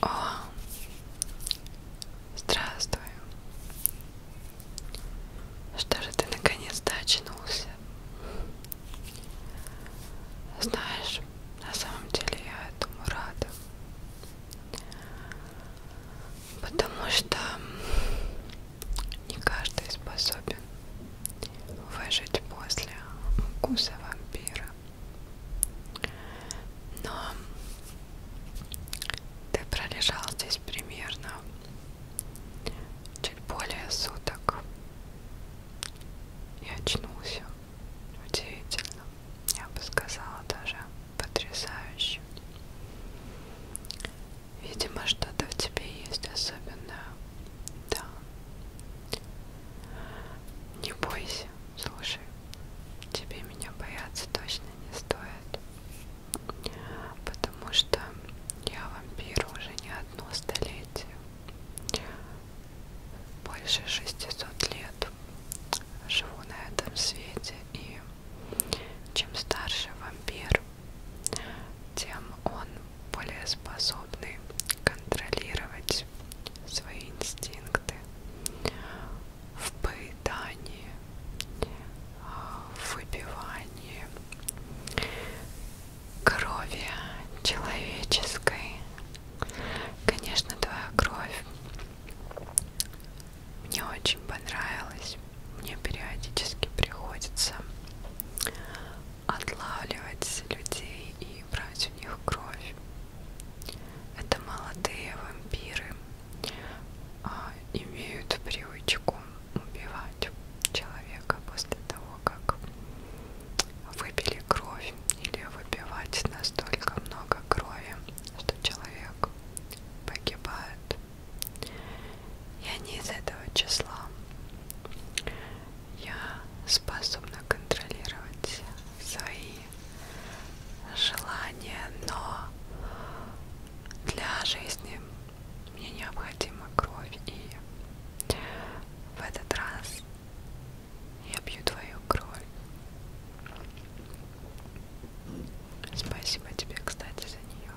О, здравствуй. Что же ты наконец-то очнулся? Знаешь, на самом деле я этому рада. Потому что не каждый способен выжить после укуса вампира. Но ты пролежал здесь примерно чуть более суток и очнулся. Удивительно. Я бы сказала даже потрясающе. Видимо, что-то в тебе есть особенное да. Не бойся, слушай, тебе меня бояться точно не стоит, потому что я вампир уже не одно столетие, больше 600 лет живу на этом свете, и чем старше вампир, тем он более способный контролировать свои инстинкты в поедании, а, в выпивании крови человеческой. Конечно, твоя кровь мне очень понравилась. Мне периодически приходится отлавливать людей и брать у них кровь. Это молодые вампиры а, имеют привычку убивать человека после того, как выпили кровь или выпивать настолько много крови, что человек погибает. И они из этого числа я способна контролировать свои желания, но для жизни мне необходима кровь, и в этот раз я пью твою кровь. Спасибо тебе, кстати, за нее.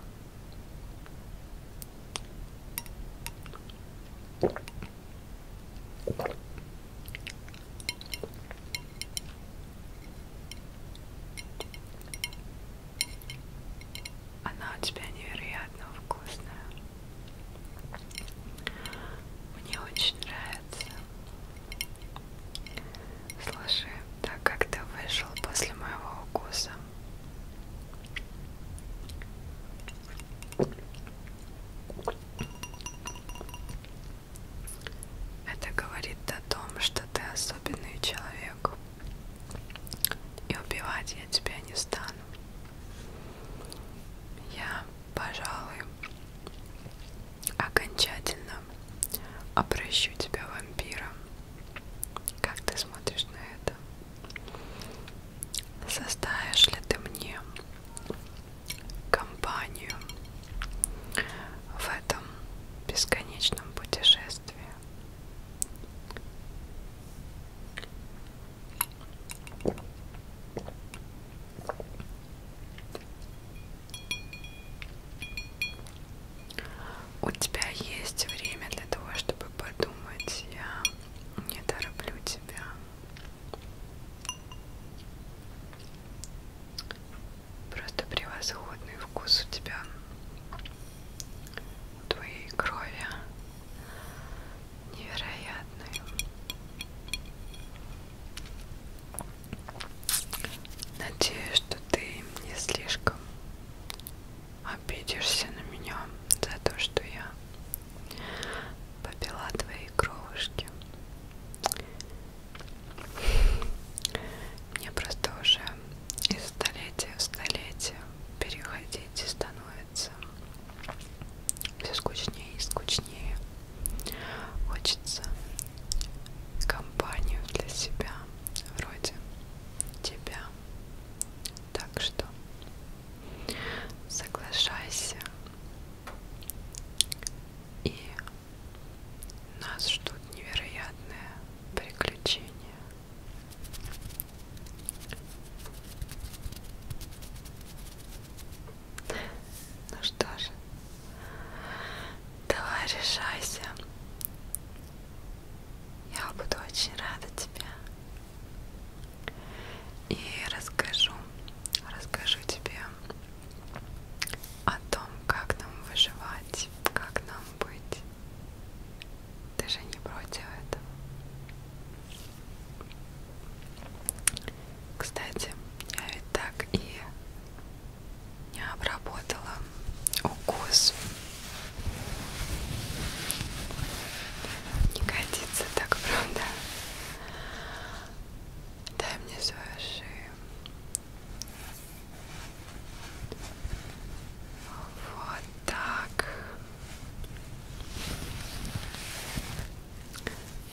Она у тебя невероятно вкусная. Мне очень нравится. Слушай, так как ты вышел после моего укуса, это говорит о том, что ты особенный человек. И убивать я тебя не стану. Я, пожалуй, окончательно обращу тебя вампиром. Как ты смотришь на это? Составишь ли ты мне компанию в этом бесконечном путешествии? У тебя есть время для того, чтобы подумать. Я не тороплю тебя. Просто превосходный вкус у тебя. У твоей крови. Невероятный. Надеюсь, что ты не слишком обидишься на меня за то, что я попила твои кровушки. Мне просто уже из столетия в столетие переходить становится все скучнее и скучнее. Хочется компанию для себя, вроде тебя, так что соглашайся. И нас ждут невероятные приключения. Ну что же, давай решайся. Я буду очень рада тебя и расскажу, расскажу тебе о том, как нам выживать, как нам быть. Ты же не против этого. Кстати, я ведь так и не обработала укус. Не годится так, правда? Дай мне свою шею. Вот так.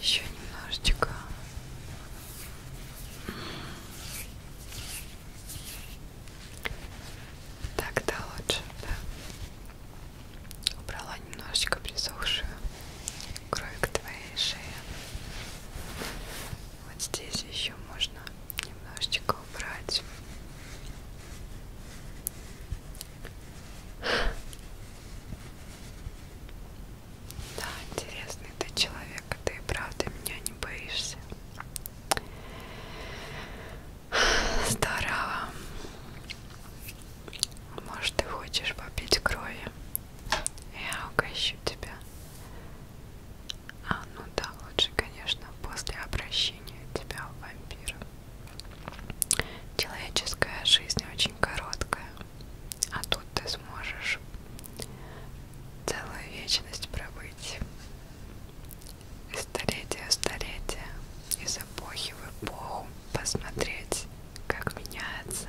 Еще немножечко. Так-то лучше, да? убрала немножечко присохшую кровь к твоей шее. Вот здесь еще можно немножечко убрать. Да, интересный ты человек, а ты и правда меня не боишься. Здорово. Может, ты хочешь попить крови? Я угощу тебя. А, ну да, лучше, конечно, после обращения тебя в вампира. Человеческая жизнь очень короткая, а тут ты сможешь целую вечность пробыть. Из столетия в столетие, из эпохи в эпоху посмотреть, как меняется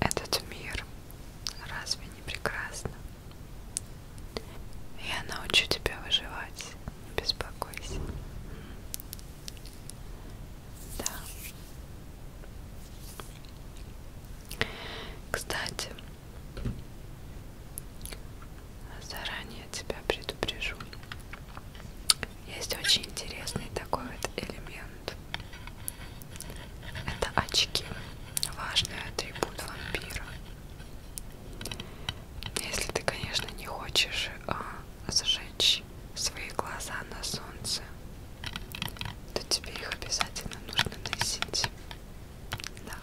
этот мир. Разве не прекрасно? Я научу тебя выживать, не беспокойся. Да. Кстати, заранее тебя предупрежу. Есть очень интересный такой вот элемент. Это очки. Важный атрибут вампира. Если ты, конечно, не хочешь а, сжечь свои глаза на солнце, то тебе их обязательно нужно носить. Да.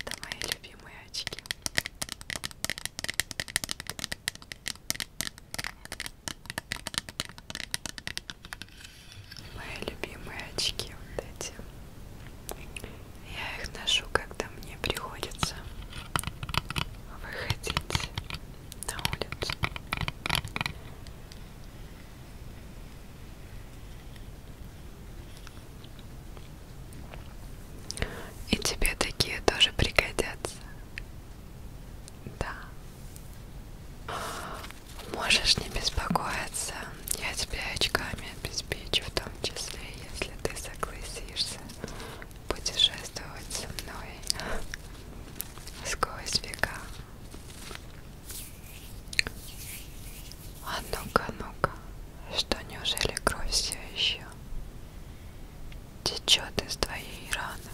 Это мои любимые очки. Мои любимые очки вот эти. Я их ношу, когда мне приходится выходить на улицу. И тебе такие тоже пригодятся. Да. Можешь не беспокоиться. Я тебя очками обеспечу, в том числе, если ты согласишься путешествовать со мной сквозь века. А ну-ка, ну-ка, что неужели кровь все еще течет из твоей раны?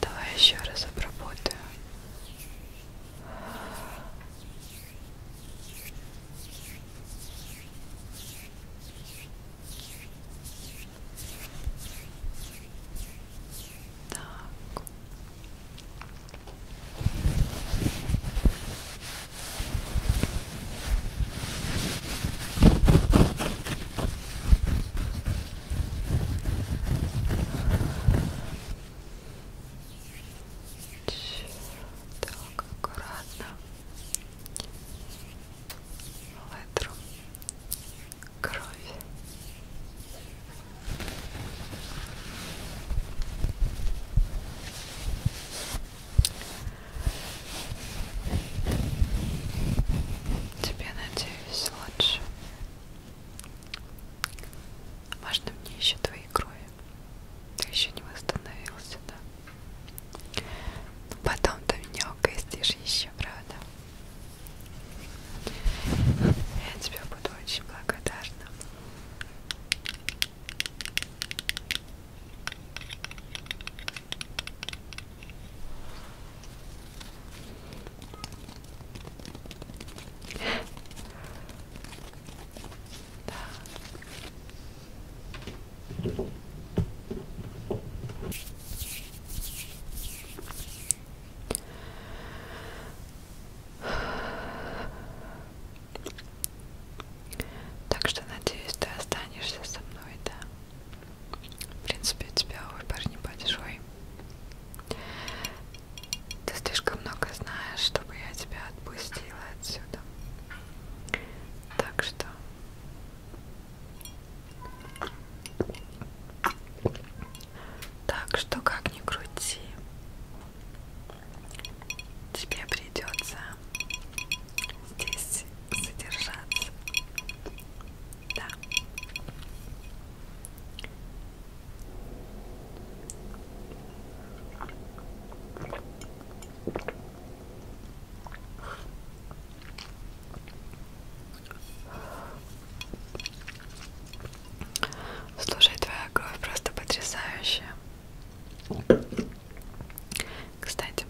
Давай еще раз обработаю. Так. Так, аккуратно. Летру кровь. Тебе, надеюсь, лучше. Можно мне еще твои крови? Ты еще не восстановился, да? Но ну, потом ты меня угостишь еще вообще, правда. Я тебе буду очень благодарна. Да. Так что, надеюсь, ты останешься со мной, да? В принципе, у тебя выбор небольшой. Ты слишком много знаешь, чтобы я тебя отпустила отсюда. Так что так что как ни крути, тебе придется здесь задержаться. Да. Слушай, твоя кровь просто потрясающая. Кстати,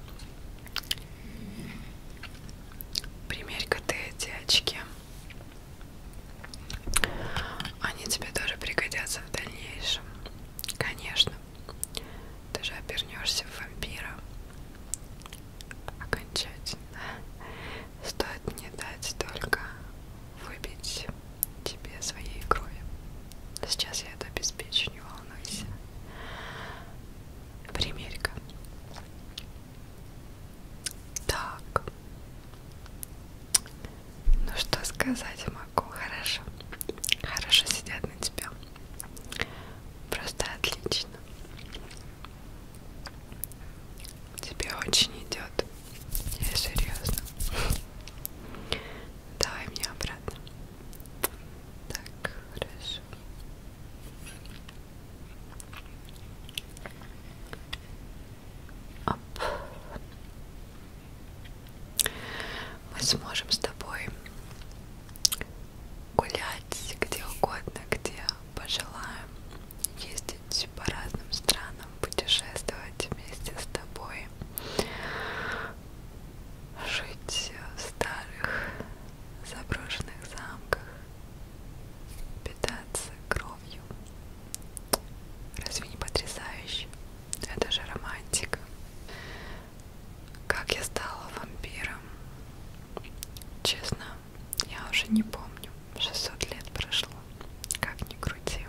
примерь-ка ты эти очки. Они тебе тоже пригодятся в дальнейшем. Конечно. Ты же обернешься в вампира окончательно. Стоит мне дать только выбить тебе своей крови. Сейчас я это обеспечу, не волнуйся. Примерь-ка. Так. Ну что сказать могу? Хорошо. Хорошо сидят на тебя. Просто отлично вкусно. Тебе очень идет. Я серьезно. Давай мне обратно. Так, хорошо. Оп. Мы сможем с тобой гулять где угодно, где пожелаем, ездить по разным странам, путешествовать вместе с тобой, жить в старых заброшенных замках, питаться кровью. Разве не потрясающе? Это же романтика. Как я стала вампиром? Честно, я уже не помню. 600 лет прошло. Как ни крути.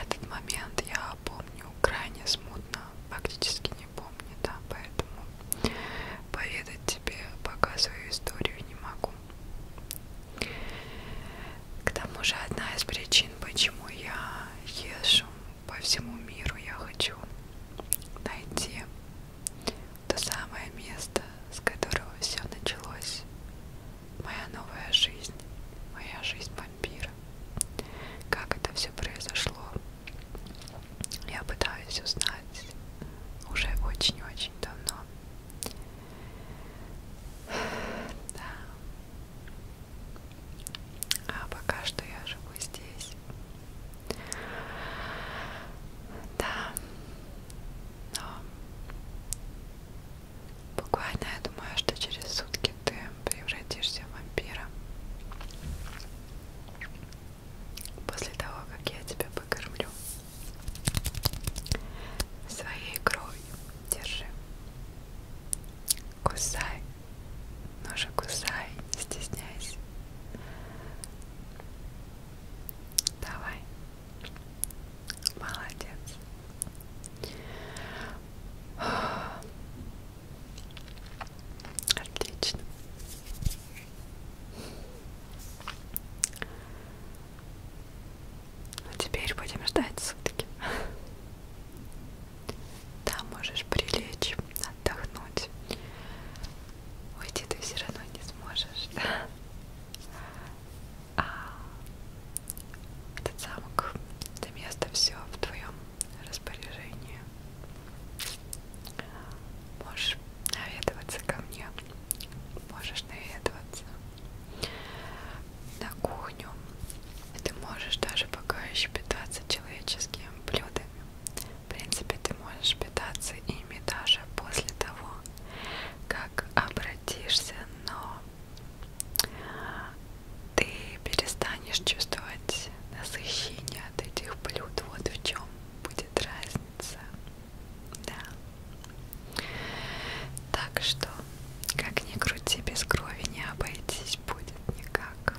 Этот момент я помню крайне смутно, фактически не помню, да, поэтому поведать тебе пока свою историю не могу. К тому же одна из причин, почему я езжу по всему миру, я хочу найти то самое место, с которого все началось, моя новая жизнь, моя жизнь вампира. Как это все произошло, я пытаюсь узнать уже очень-очень давно. Да. А пока что я живу мы здесь. Да, но буквально я думаю, что через сутки ты превратишься в вампира. После того, как я тебя покормлю своей кровью, держи. Кусай, ну же кусай, не стесняйся. Давай. Молодец. Отлично. А теперь будем ждать сутки. Там можешь прилечь, отдохнуть уйти ты все равно не сможешь. А этот замок, это место все в твоем распоряжении. Можешь наведываться ко мне, можешь наведываться на кухню. Ты можешь даже пока еще питаться человеческими блюдами. В принципе, ты можешь питаться ими даже после того, как обратишься, но ты перестанешь чувствовать насыщение от этих блюд. Вот в чем будет разница. Да. Так что, как ни крути, без крови не обойтись будет никак.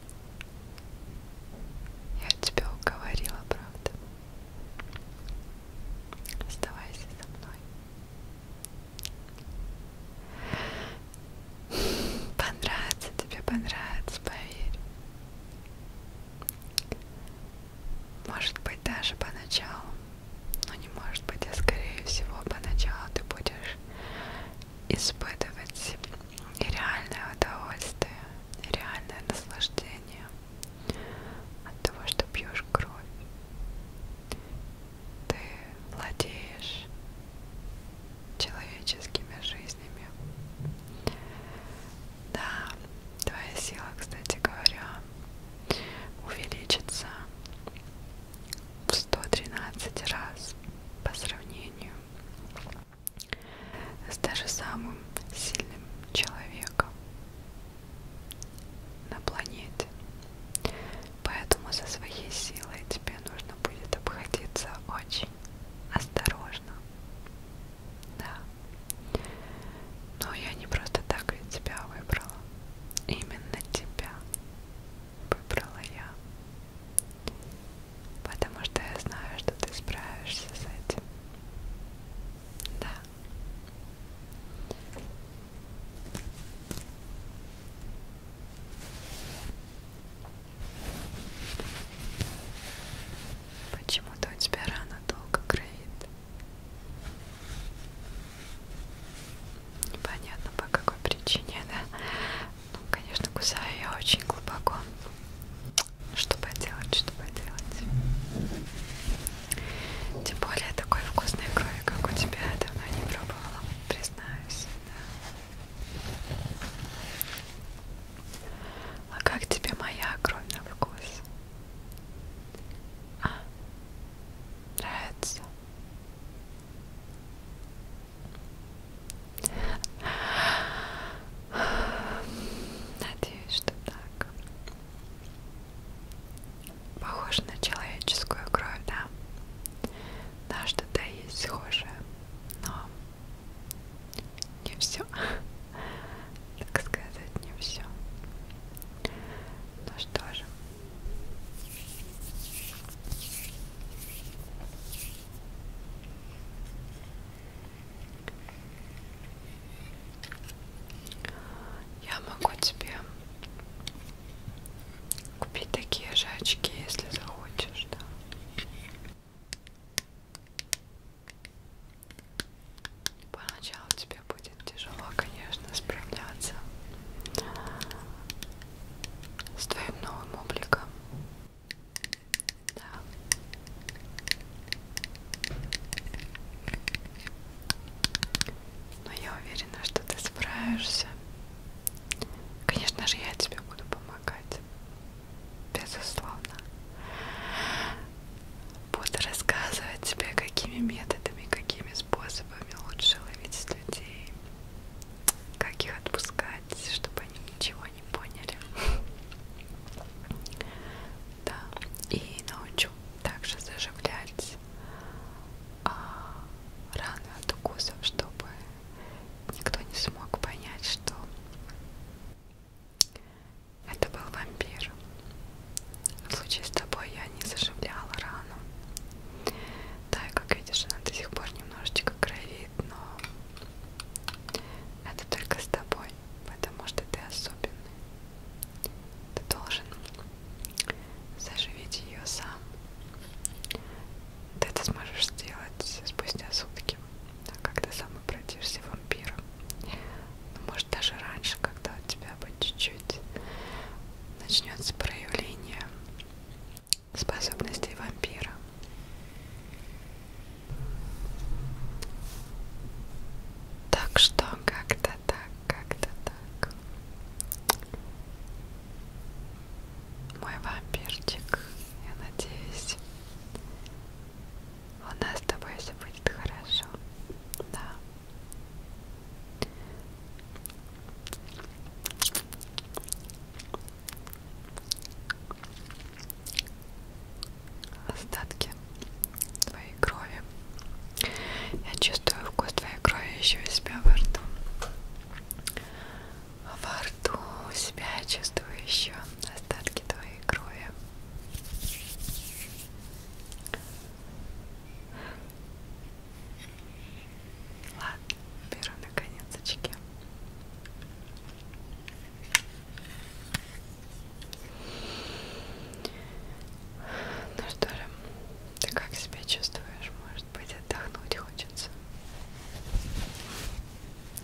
Я тебя уговорила, правда? Оставайся со мной. Понравится тебе, понравится, поверь. Может быть, даже поначалу. Но не может быть, а скорее всего, поначалу ты будешь испытывать нереальное удовольствие реальное наслаждение от того, что пьешь кровь. Ты владеешь человеческими жизнями. Да, твоя сила, кстати говоря, увеличится в 113 раз по сравнению с даже самым сильным человеком на планете. Поэтому со своей силой тебе нужно будет обходиться очень осторожно. Да. Но я не просто так ведь тебя выбрала. Именно тебя выбрала я потому что я знаю, что ты справишься с этим. Да. Почему-то у тебя рана долго кровит. Непонятно по какой причине, да? Ну, конечно, кусаю я очень глубоко. Что поделать, что поделать. Тем более такой вкусной крови, как у тебя, давно не пробовала, признаюсь. Да. А как тебе моя кровь на вкус? А? Нравится? Надеюсь, что так. Похоже на человеческую кровь, да? Да, что-то есть схожее, но не все. Так сказать, не все. Ну что же. Я могу тебе купить такие же очки, если захочешь, да. Поначалу тебе будет тяжело, конечно, справляться с твоим новым обликом. Да. Но я уверена, что ты справишься. Конечно же, я тебе буду помогать. Безусловно. Буду рассказывать тебе, какими методами, какими способами лучше ловить людей, как их отпускать, чтобы они ничего не поняли. Да, и научу также заживлять а, раны от укусов, чтобы никто не смог понять, что это был вампир. В случае с тобой я не заживляла рану. Да, и как видишь, она до сих пор немножечко кровит, но это только с тобой потому что ты особенный. Ты должен заживить ее сам. Ты это сможешь сделать спустя сутки, а когда сам обратишься вампиром. Ну, может, даже раньше, когда у тебя будет чуть-чуть начнется проявление способностей вампира. Так что как-то так, как-то так. Мой вампирчик, я надеюсь, у нас с тобой все будет хорошо. Да остатки твоей крови. Я чувствую вкус твоей крови еще у себя во рту. Во рту у себя я чувствую еще остатки твоей крови. Ладно, беру наконец очки. Ну что же, ты как себя чувствуешь? Может быть, отдохнуть хочется?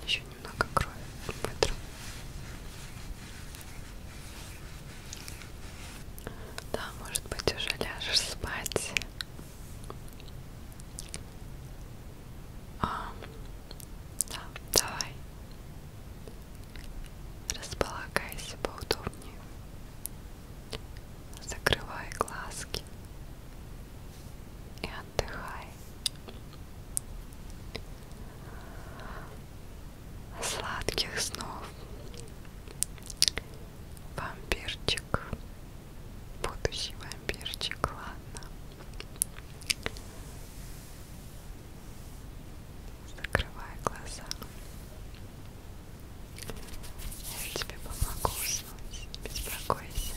Еще немного крови вытру. Да, может быть, уже ляжешь спать. А, да, давай. Располагайся поудобнее. Закрывай глазки и отдыхай. Сладких снов. Вампирчик. Будущий вампирчик, ладно. Закрывай глаза. Я тебе помогу уснуть. Беспокойся.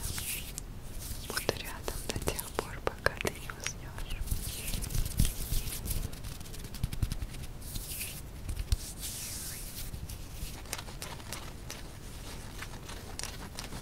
Буду рядом до тех пор, пока ты не уснешь. Закрывай глаза.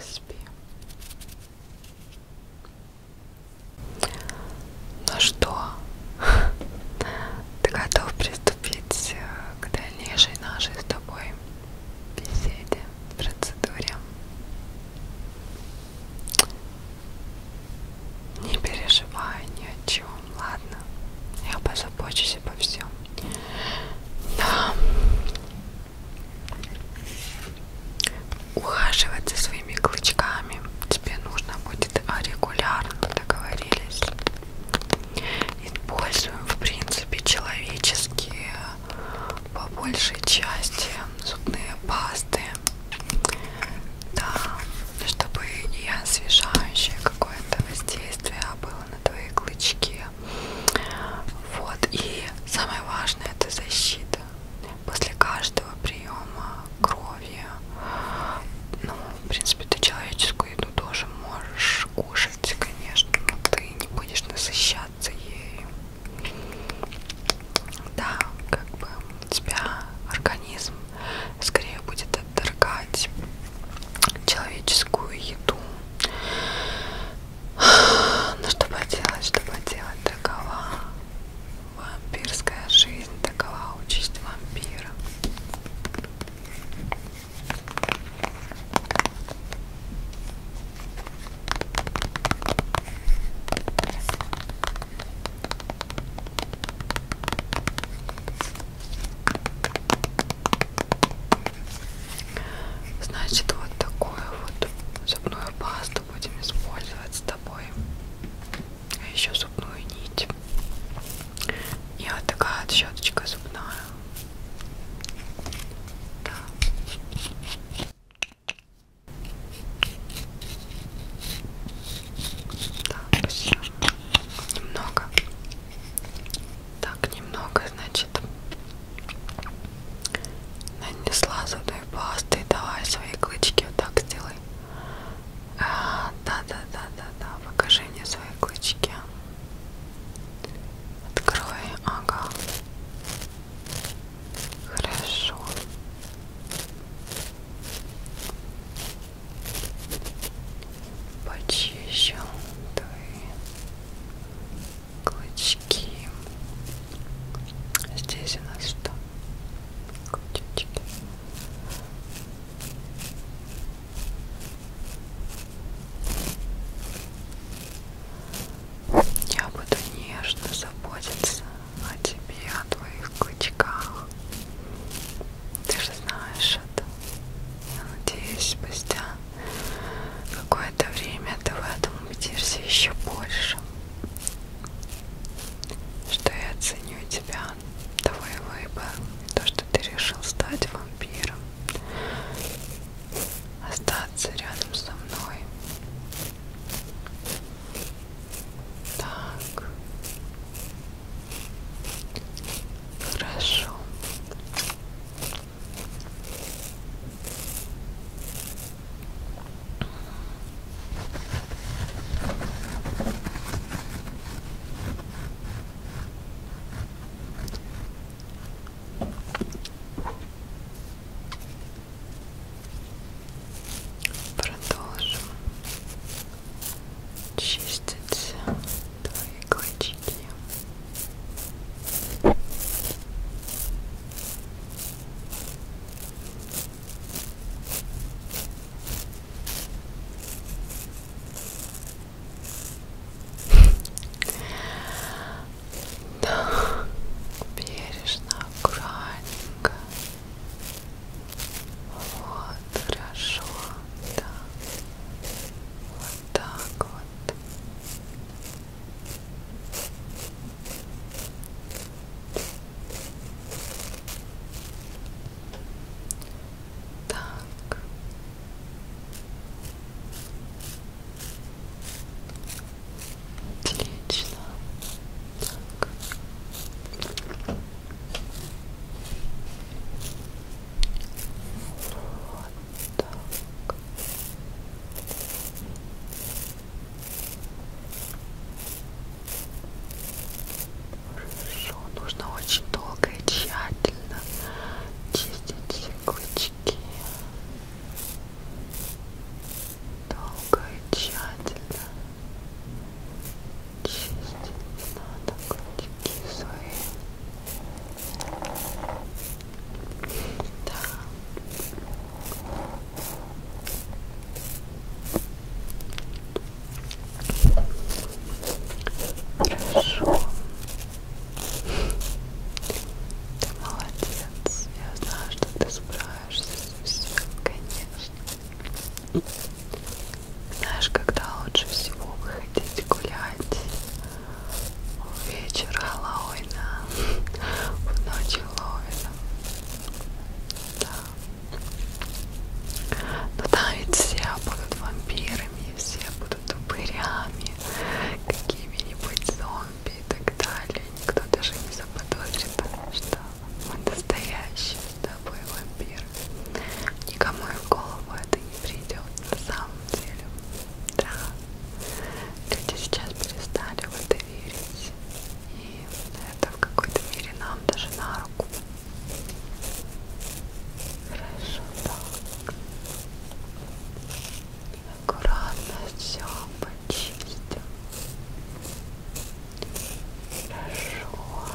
Спи. Ну что, ты готов приступить э, к дальнейшей нашей с тобой беседе, процедуре? Не переживай ни о чем ладно, я позабочусь обо всем. Да. Ухаживать за своими клычками тебе нужно будет регулярно, договорились. Используем, в принципе, человеческие по большей части зубные пасты да, чтобы не освежающее какое-то воздействие а было на твои клычки. Вот, и самое важное это защита. После каждого приема крови, ну, в принципе, ты человеческую еду тоже можешь кушать, конечно, но ты не будешь насыщаться ею. Да, как бы тебя организм скорее будет отторгать человеческую еду. Но ну, что поделать, что поделать, такова вампирская жизнь, такова участь вампира. Значит, вот такую вот зубную пасту будем использовать с тобой. А еще зубную нить. И вот такая вот щеточка зубная. Да. Да, спасибо. Немного. Так, немного, значит. Нанесла зубной пасты. Давай свои клычки вот так сделай. А, да-да-да-да-да. Покажи мне свои клычки. Открой. Ага. Хорошо почищу твои клычки. Здесь у нас что? Крутички. Я буду нежно заботиться о тебе, о твоих клычках, ты же знаешь это. Я надеюсь, спустя какое-то время ты в этом убедишься еще больше. Что я ценю тебя, твой выбор, и то, что ты решил стать вампиром. Остаться рядом со мной. Так. Хорошо. Продолжим чистить твои клычки. Да, бережно, аккуратненько вот, хорошо, да. Вот так вот. Так. Отлично. Так. Вот так. Хорошо, нужно очень долго и тщательно чистить все клычки. Долго и тщательно чистить надо кончики свои. Да. Хорошо. Ты молодец. Я знаю, что ты справишься со всем, конечно. Знаешь, когда лучше всего выходить гулять? Вечер Хэллоуина, в ночь Хэллоуина. Да. Но там ведь все будут вампирами, все будут упырями, какими-нибудь зомби и так далее. Никто даже не заподозрит, что мы настоящие с тобой вампиры. Никому и в голову это не придет на самом деле. Да. Люди сейчас перестали в это верить. И это в какой-то мере нам даже на руку. Хорошо, так. Аккуратно все почистим. Хорошо.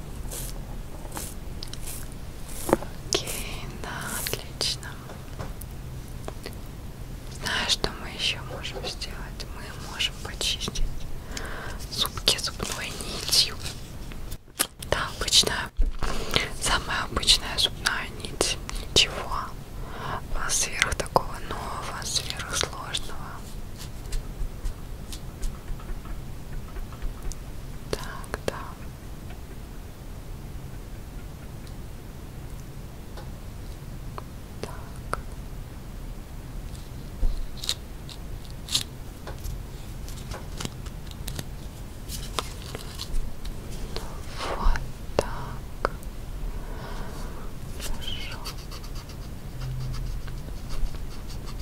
Окей, да, отлично. Знаешь, что мы еще можем сделать? Мы можем почистить зубки зубной нитью. Да, обычная, самая обычная зубная нить. Ничего сверх такого нового, сверхсложного. Так, да. Так. Вот так. Хорошо.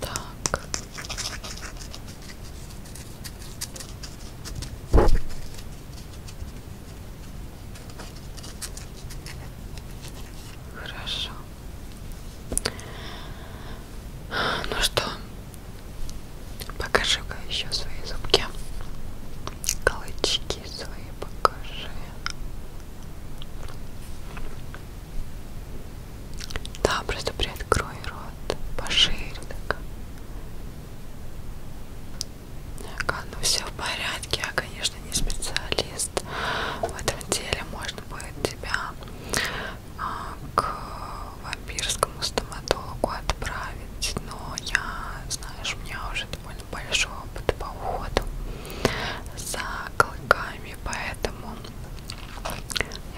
Так. Хорошо. Ну что, покажи-ка еще свои зубки. Колычки свои покажи. Да, просто приоткрой рот пошире так. Ага, ну все в порядке. Я, конечно, не специалист в этом деле. Можно будет тебя а, к вампирскому стоматологу отправить, но я, знаешь, у меня уже довольно большой опыт по уходу за клыками и поэтому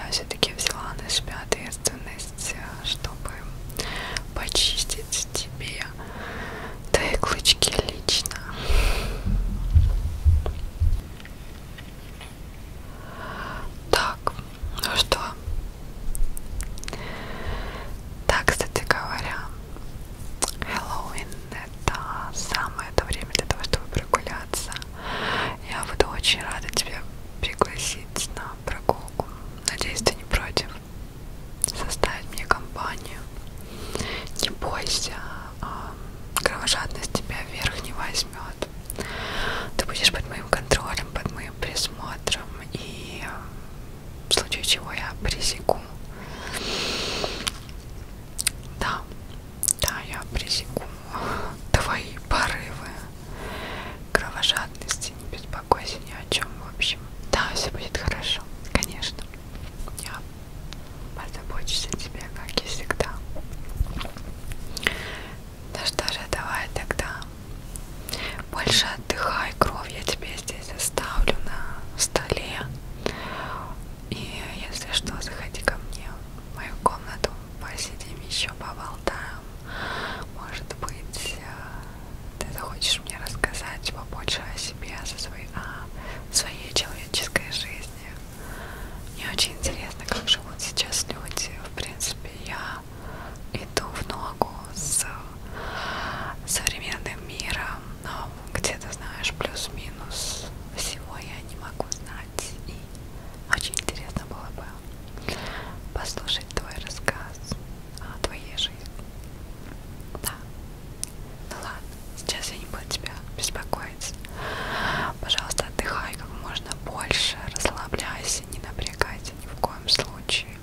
я все-таки взяла на себя ответственность, э, чтобы почистить тебе твои клычки лично. Так, ну что? Так, кстати говоря, Хэллоуин это самое то время для того, чтобы прогуляться я буду очень рада тебя пригласить на прогулку. Надеюсь, ты не против. Составить мне компанию. Не бойся, а, кровожадность тебя вверх не возьмет. Ты будешь под моим контролем, под моим присмотром, и а, в случае чего я пресеку. Да, да, я пресеку твои порывы кровожадности, не беспокойся ни о чем, в общем. Да, все будет хорошо, конечно. Я позабочусь о тебе, как и всегда. Да ну что же, давай тогда. Больше отдыхай, кровь я тебе здесь оставлю на столе. И если что, заходи ко мне в мою комнату посидим еще, поболтаем. Может быть, э, ты захочешь мне рассказать побольше о себе, о своей, о своей человеческой жизни. Мне очень интересно, как живут сейчас люди. В принципе, я иду в ногу с современным миром, но где-то, знаешь, плюс-минус всего я не могу знать узнать. И очень интересно было бы послушать твой рассказ о твоей жизни. Да. Ну ладно, сейчас я не буду тебя беспокоить. Пожалуйста, отдыхай как можно больше, расслабляйся, не напрягайся ни в коем случае,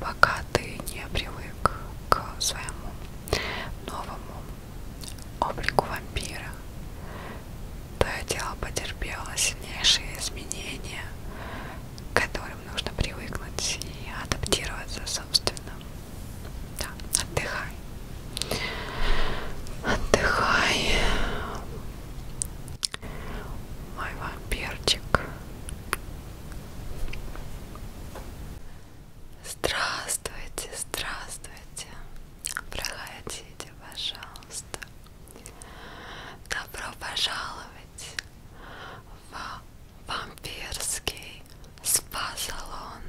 пока ты не привык к своему новому облику вампира то тело потерпело сильнейшие изменения, к которым нужно привыкнуть и адаптироваться, собственно. Да, отдыхай. Отдыхай. Мой вампирчик. Здравствуйте, здравствуйте. Проходите, пожалуйста. Добро пожаловать в вампирский спа-салон.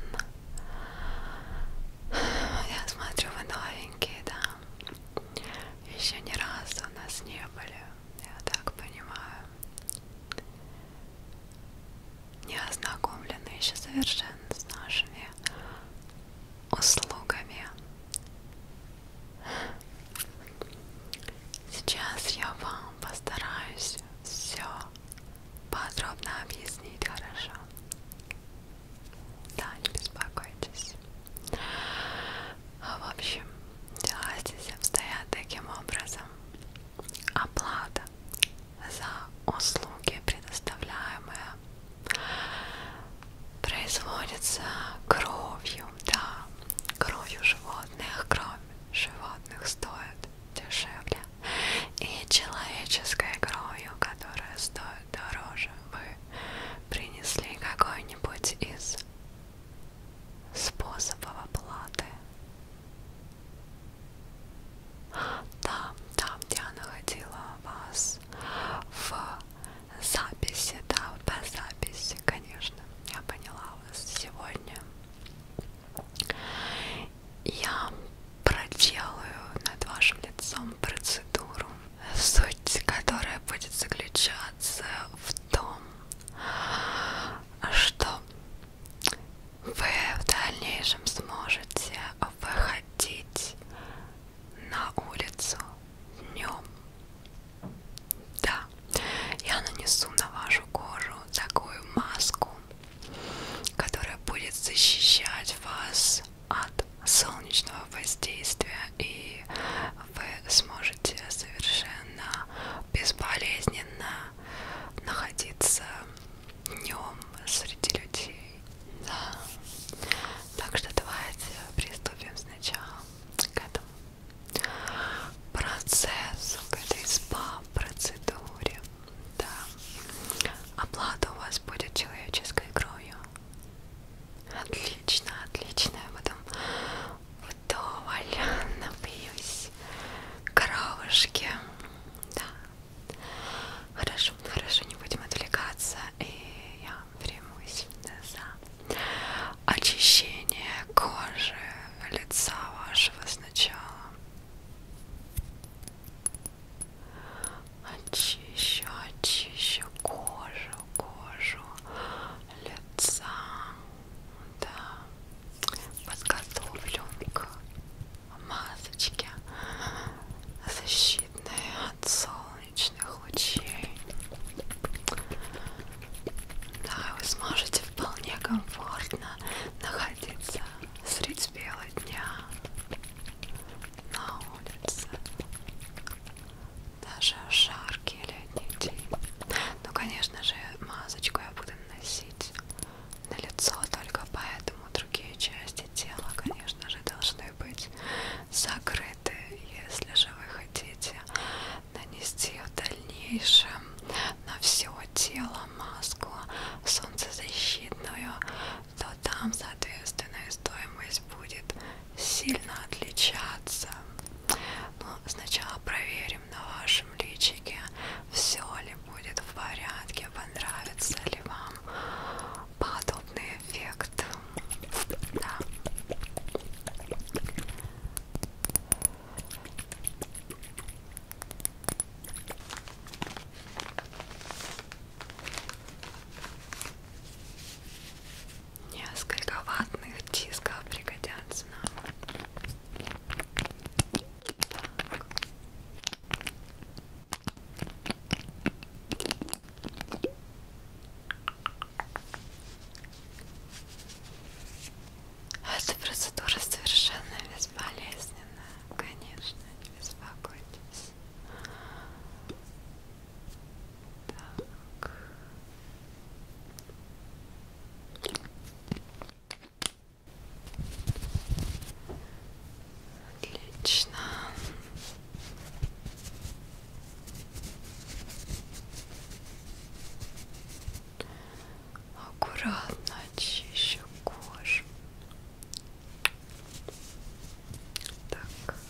Я смотрю, вы новенькие, да? Еще ни разу у нас не были, я так понимаю. Не ознакомлены еще совершенно с нашими услугами. Сейчас я вам постараюсь все подробно объяснить хорошо. Да, не беспокойтесь. В общем, дела здесь обстоят таким образом. Оплата за услуги, предоставляемые производится кровью, да, кровью животных, кровь животных стоит дешевле, и человеческой кровью, которая стоит дороже, вы принесли какой-нибудь из способов оплаты. Там, там, где я находила вас вас в записи, да, по записи, конечно, я поняла вас сегодня. Я проделаю над вашим лицом процедуру, суть которая будет заключаться в том, что вы в дальнейшем сможете выходить на улицу днем. Да, я нанесу на вашу кожу такую маску, которая будет защищать вас от солнечного воздействия, и вы сможете совершенно безболезненно находиться днем среди людей. Да. Так что давайте приступим сначала к этому процессу, к этой спа-процедуре. Да. Оплата у вас будет человеческой кровью. Отлично, отлично. Я потом вдоволь напьюсь коровушки. Да. Хорошо, хорошо, не будем отвлекаться. И я преимущественно за очищение кожи лица вашего сначала. Очищу, очищу кожу, кожу лица. Да. Подготовлю к масочке защитной от солнца солнечных лучей. Да, вы сможете вполне комфортно находиться средь белого дня на улице. Даже в жаркий летний день. Ну, конечно же, масочку я буду наносить на лицо, только поэтому другие части части тела, конечно же, должны быть закрыты, если же вы хотите нанести в дальнейшем на все тело маску солнцезащитную, то там, соответственно, и стоимость будет сильно отличаться. Но ну, сначала проверим на вашем личике, все ли будет в порядке, понравится ли вам подобный эффект. Да. Несколько ватных дисков пригодятся нам. Так. А эта процедура совершенно безболезненна, конечно, не беспокойтесь. Так. Отлично. Аккуратно очищу кожу. Так. Чик.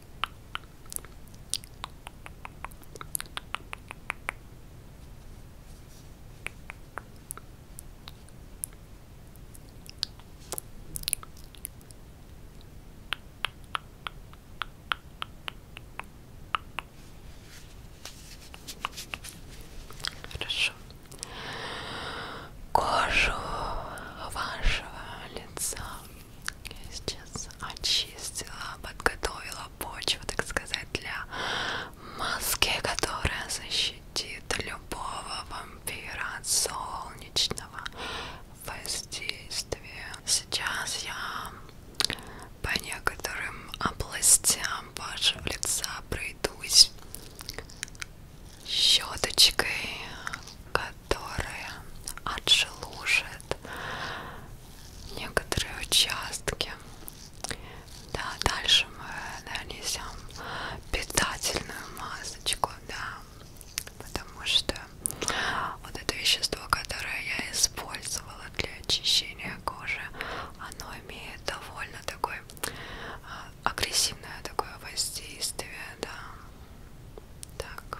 Хорошо. Кожу вашего лица я сейчас очистила, подготовила почву, так сказать, для маски, которая защитит любого вампира от солнечного воздействия. Сейчас я по некоторым областям вашего лица пройдусь щеточкой, которая отшелушит некоторые участки. Да, дальше мы нанесем питательную масочку, да, потому что вот это вещество, которое я использовала для очищения кожи, оно имеет довольно такое а, агрессивное такое воздействие, да. Так.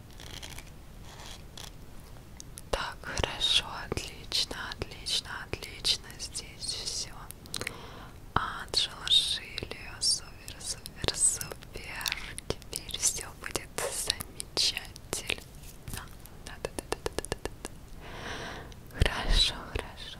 Так, хорошо, отлично, отлично, отлично. Здесь все. Анджела Шилио, супер, супер, супер. Теперь все будет замечательно. Да, да, да, да, да, да, да. Хорошо, хорошо.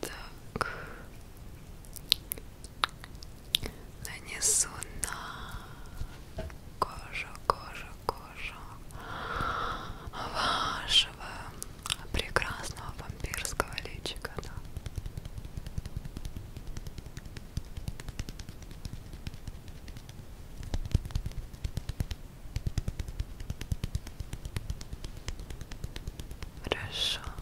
Так. Нанесу на кожу, кожу, кожу вашего прекрасного вампирского личика. Да. Хорошо.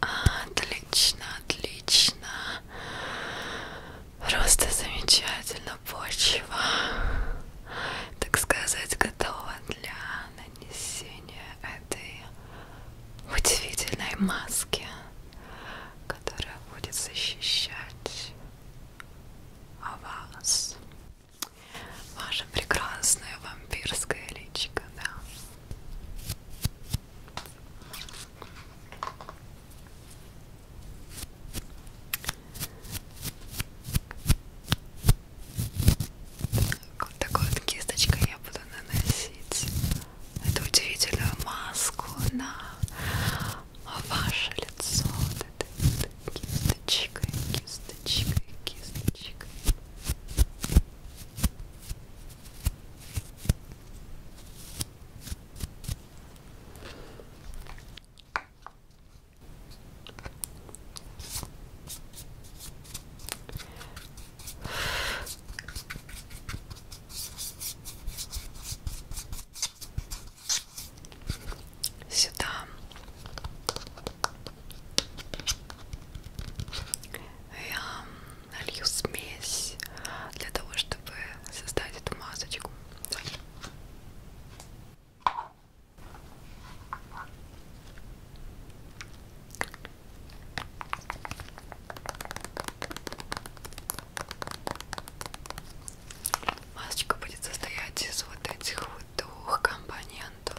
Хорошо. Отлично, отлично. Просто замечательно почва, так сказать, готова для нанесения этой удивительной маски которая будет защищать вас, ваше прекрасное вампирское личико, да. Так, вот такой вот кисточкой я буду наносить эту удивительную маску на ваше лицо. Кисточкой, кисточкой, кисточкой сюда я налью смесь для того, чтобы создать эту масочку. Масочка будет состоять из вот этих вот двух компонентов.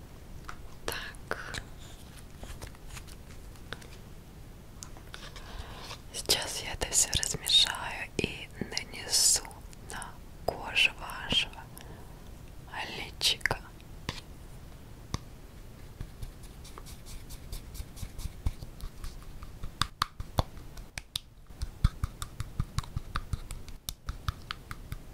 Так. Сейчас я это все размешаю и нанесу на кожу вашего личика. Так.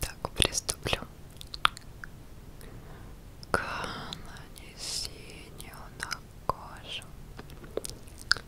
Так, приступлю к нанесению на кожу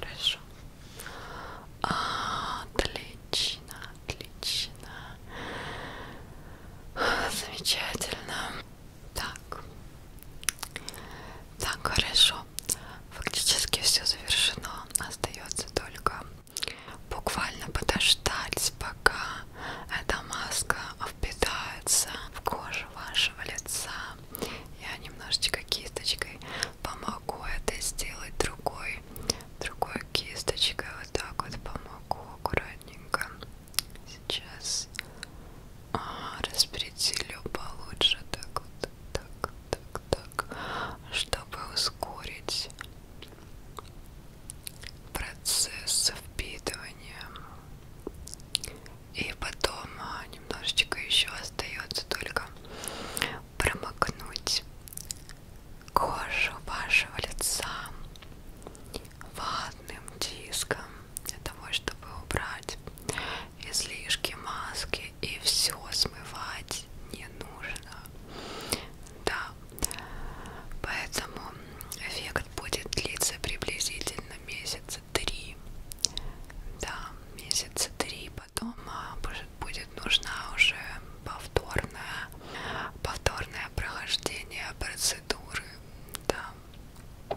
Хорошо. А, отлично, отлично. Замечательно. Так. Так, хорошо. Фактически все завершено. Остается только буквально подождать, пока эта маска впитается в кожу вашего лица. Я немножечко кисточкой помогу это сделать другой, другой кисточкой. Вот так вот помогу аккуратненько. Сейчас а, распределю получше так вот так так так чтобы ускорить процесс впитывания и потом а, немножечко еще остается только промокнуть кожу вашего лица ватным диском для того, чтобы убрать излишки маски и все смывать не нужно. Да, поэтому эффект будет длиться приблизительно месяца три. Да, месяца три. Потом а, будет нужна уже повторная, повторное прохождение процедуры. Да.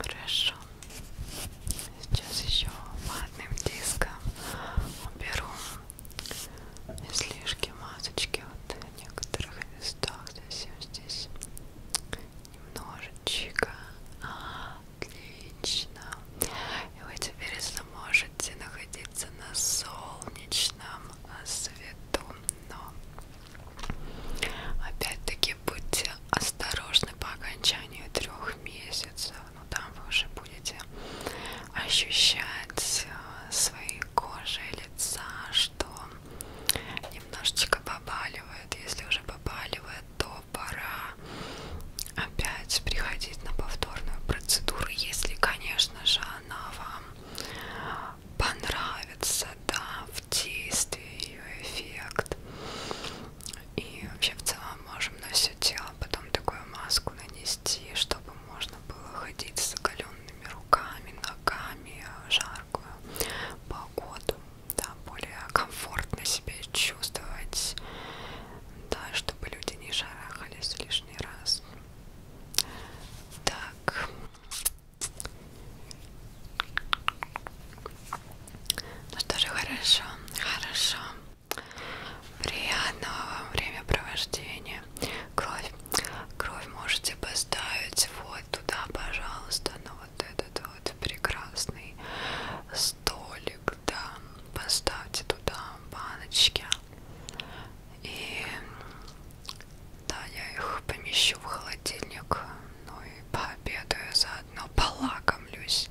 Хорошо. Сейчас еще ватным диском уберу излишки масочки вот в некоторых местах совсем здесь немножечко отлично и вы теперь сможете находиться на солнечном а, свету. Но опять-таки будьте осторожны по окончанию трех месяцев. Ну там вы уже будете ощущать а, своей кожей лица, что немножечко побаливает. Если уже побаливает, то пора опять приходить на повторную процедуру, если, конечно же, она вам понравится, да, в действии ее эффект. И вообще в целом можем на все тело потом такую маску нанести, чтобы можно было ходить с оголенными руками, ногами, жаркую погоду, да, более комфортно себя чувствовать, да, чтобы люди не жарахались лишний раз. Так. Ну что же, хорошо, хорошо. Приятного вам времяпровождения. Кровь. Кровь можете поставить вот туда, пожалуйста, на вот этот вот прекрасный столик, да. Поставьте туда баночки, и да, я их помещу в холодильник, ну и пообедаю заодно, полакомлюсь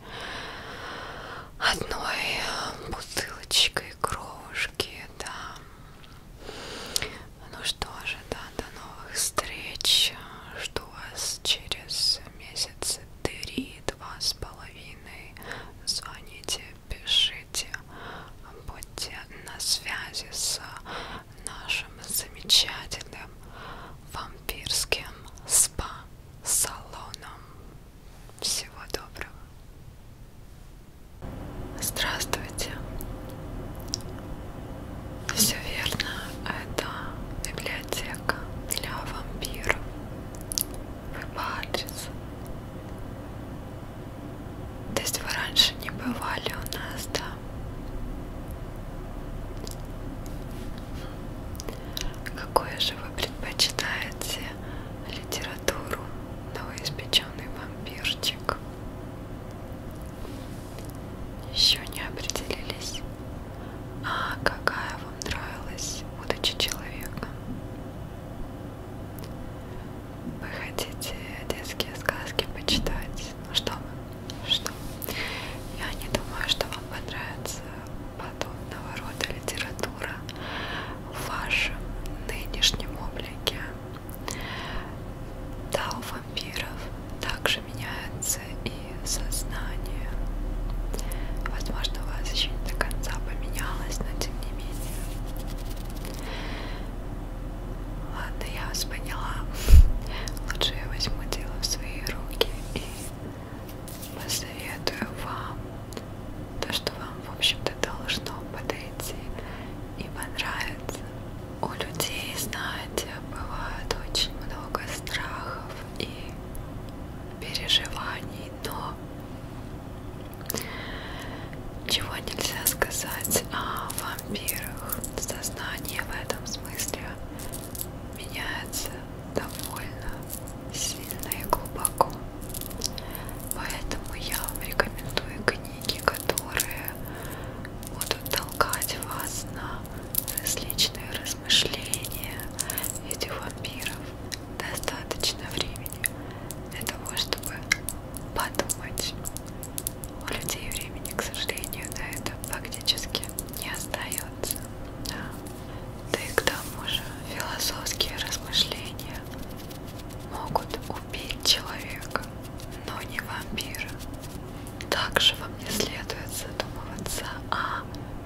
одной э, бутылочкой крошки, да. Ну что же, да, до новых встреч. Жду вас через месяц три-два с половиной. Звоните, пишите, будьте на связи с нашим замечательным вампирским спа-салоном. Всего доброго! Здравствуйте! Все верно, это библиотека для вампиров. Вы по адресу то есть вы раньше не бывали у нас, да? Какое же вы предпочитаете литературу? Новоиспеченный вампирчик. Еще не определились. А какая вам нравилась удача человека? Вы хотите детские сказки почитать? Ну что вы? Что? Я не думаю, что вам понравится подобного рода литература в вашем нынешнем облике. Да, у вампиров также меняется и сознание. Возможно, у вас еще не до конца поменялось, но тем не менее Ладно, я вас поняла. Лучше я возьму дело в свои руки и посоветую вам то, что вам, в общем-то, должно подойти и понравится. У людей, знаете, бывает очень много страхов и переживаний, но чего нельзя сказать о вампирах. Сознание в этом смысле меняется довольно сильно и глубоко. Поэтому я вам рекомендую книги, которые будут толкать вас на различные размышления этих вампиров достаточно времени для того, чтобы подумать. У людей времени, к сожалению, на это фактически не остается. Да. да и к тому же философские размышления могут убить человека, но не вампира. Также вам не следует задумываться о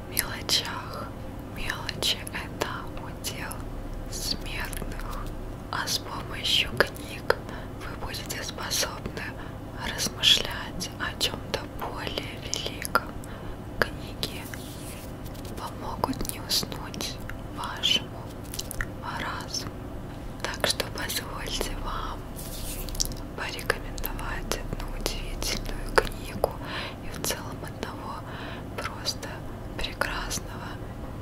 мелочах, Мелочи – это удел смертных, а с помощью книг вы будете способны размышлять о чем-то более великом. Книги помогут не уснуть вашему разуму. Так что позвольте вам порекомендовать одну удивительную книгу и в целом одного просто прекрасного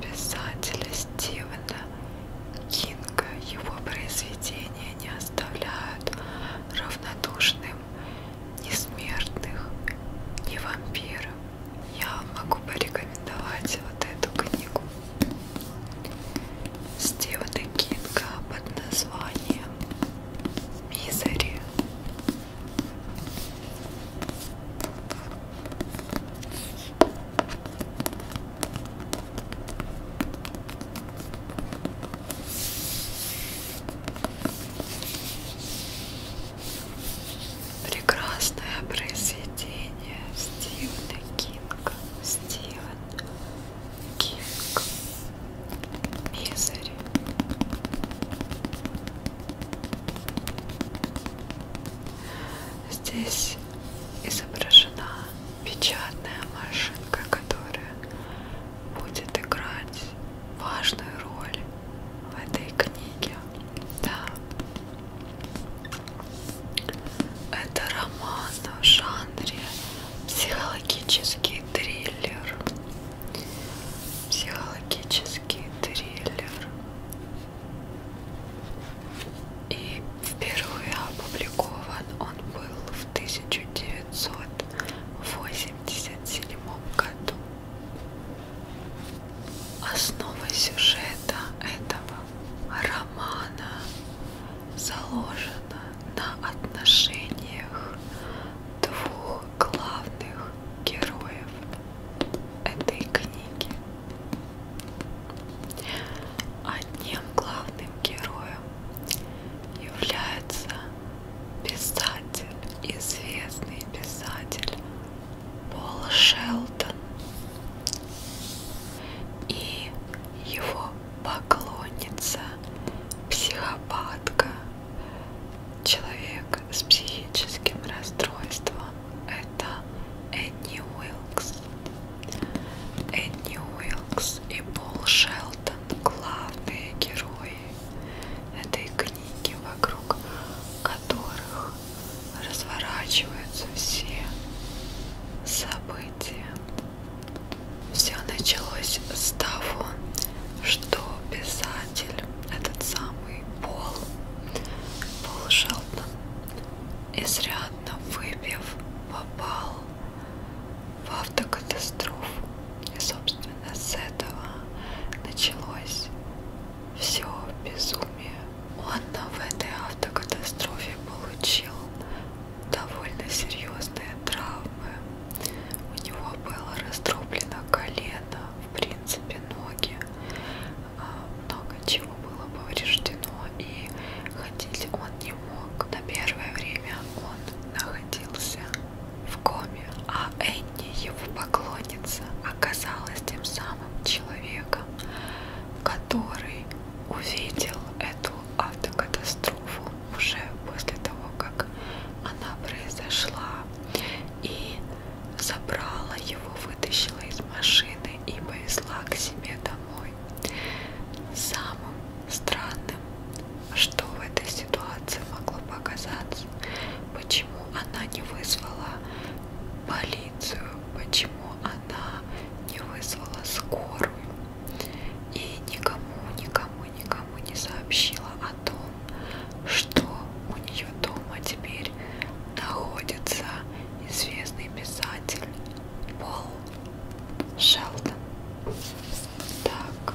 писателя Стивена Кинга. Его произведения не оставляют равнодушным ни смертных, ни вампиров. Я могу порекомендовать вот эту книгу Стивена Кинга под названием «Мизери». Прекрасное произведение Стивена Кинга. Стивен Кинг. Мизери. Здесь изображена печатная машинка, которая будет играть важную роль в этой книге. Да. Это роман в жанре психологический триллер. Психологический исторический триллер. И впервые опубликован он был в 1987 году. Основой сюжета этого романа заложена на отношениях двух главных героев этой книги. Одним главным героем является писатель, известный писатель Пол Шелдон и его поклонница, психопатка, человек, с психическим расстройством это Энни Уилкс. Энни Уилкс и Пол Шелтон главные герои этой книги, вокруг которых разворачиваются все события. Все началось с того, что писатель, этот самый и Пол, Пол Шелтон, изрядно выпив, попал в автокатастрофу. И, собственно, с этого началось все безумие. Он в этой автокатастрофе получил довольно серьезные травмы. У него было раздроблено колено, в принципе, ноги, а, много чего было повреждено, и ходить он не мог. На первое время он находился в коме, а Энни, его поклонница, оказалась тем самым человеком, который увидел эту автокатастрофу уже после того, как она произошла, и забрала его, вытащила из машины и повезла к себе домой. Самым странным, что в этой ситуации могло показаться, почему она не вызвала полицию, почему она не вызвала скорую и никому, никому, никому не сообщила о том, что у нее дома теперь находится известный писатель Пол Шелдон. Так. Так.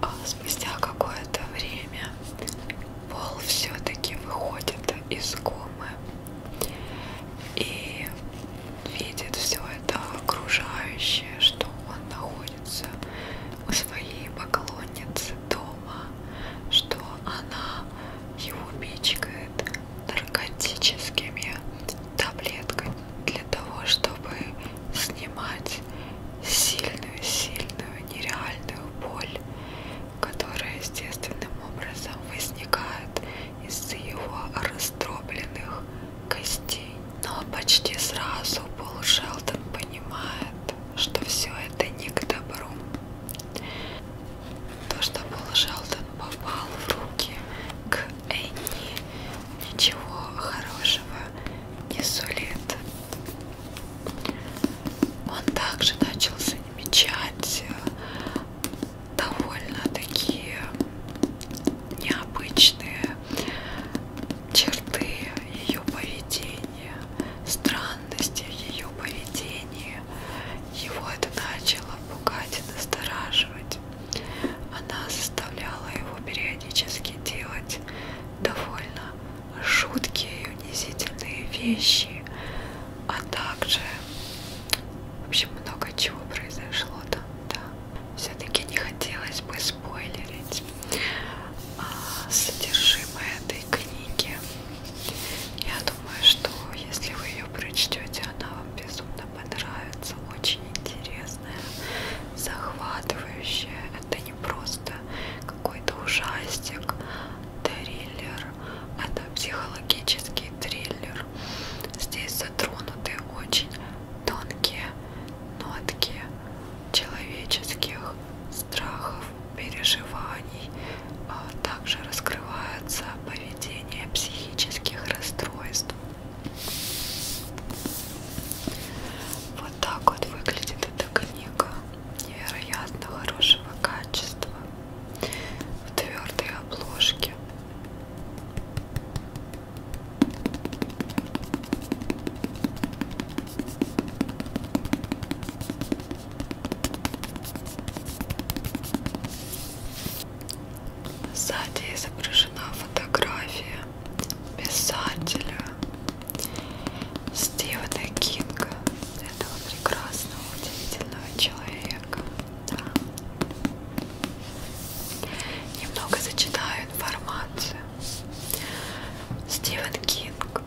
А спустя какое-то время Пол все-таки выходит из комы и видит все это окружающее, что он находится находится у своей поклонницы дома, что она его пичкает наркотическими таблетками для того, чтобы снимать сильную-сильную нереальную боль, которая естественным образом возникает из-за его раздробленных костей. Но почти сразу Пол Шелдон понимает, что все это не к добру. То, что Пол Шелдон попал в руки к Энни, ничего хорошего не сулит. Он также начал замечать э, довольно такие необычные черты ее поведения, странности в ее поведении. Его это начало пугать и настораживать. Она заставляла его периодически делать довольно жуткие и унизительные вещи, а также, в общем, много чего произошло там, да все-таки не хотелось бы спойлерить а, содержимое этой книги. Я думаю, что если вы ее прочтете, она вам безумно понравится, очень интересная, захватывающая. Это не просто какой-то ужастик, триллер, это психологический триллер. Здесь затронуты очень тонкие нотки человеческих страхов, переживаний. А также раскрывается поведение психических расстройств. Вот так вот выглядит эта книга. Невероятно хорошего качества. В твердой обложке. Сзади изображена фотография писателя Стивена Кинга, этого прекрасного, удивительного человека. Да. Немного зачитаю информацию. Стивен Кинг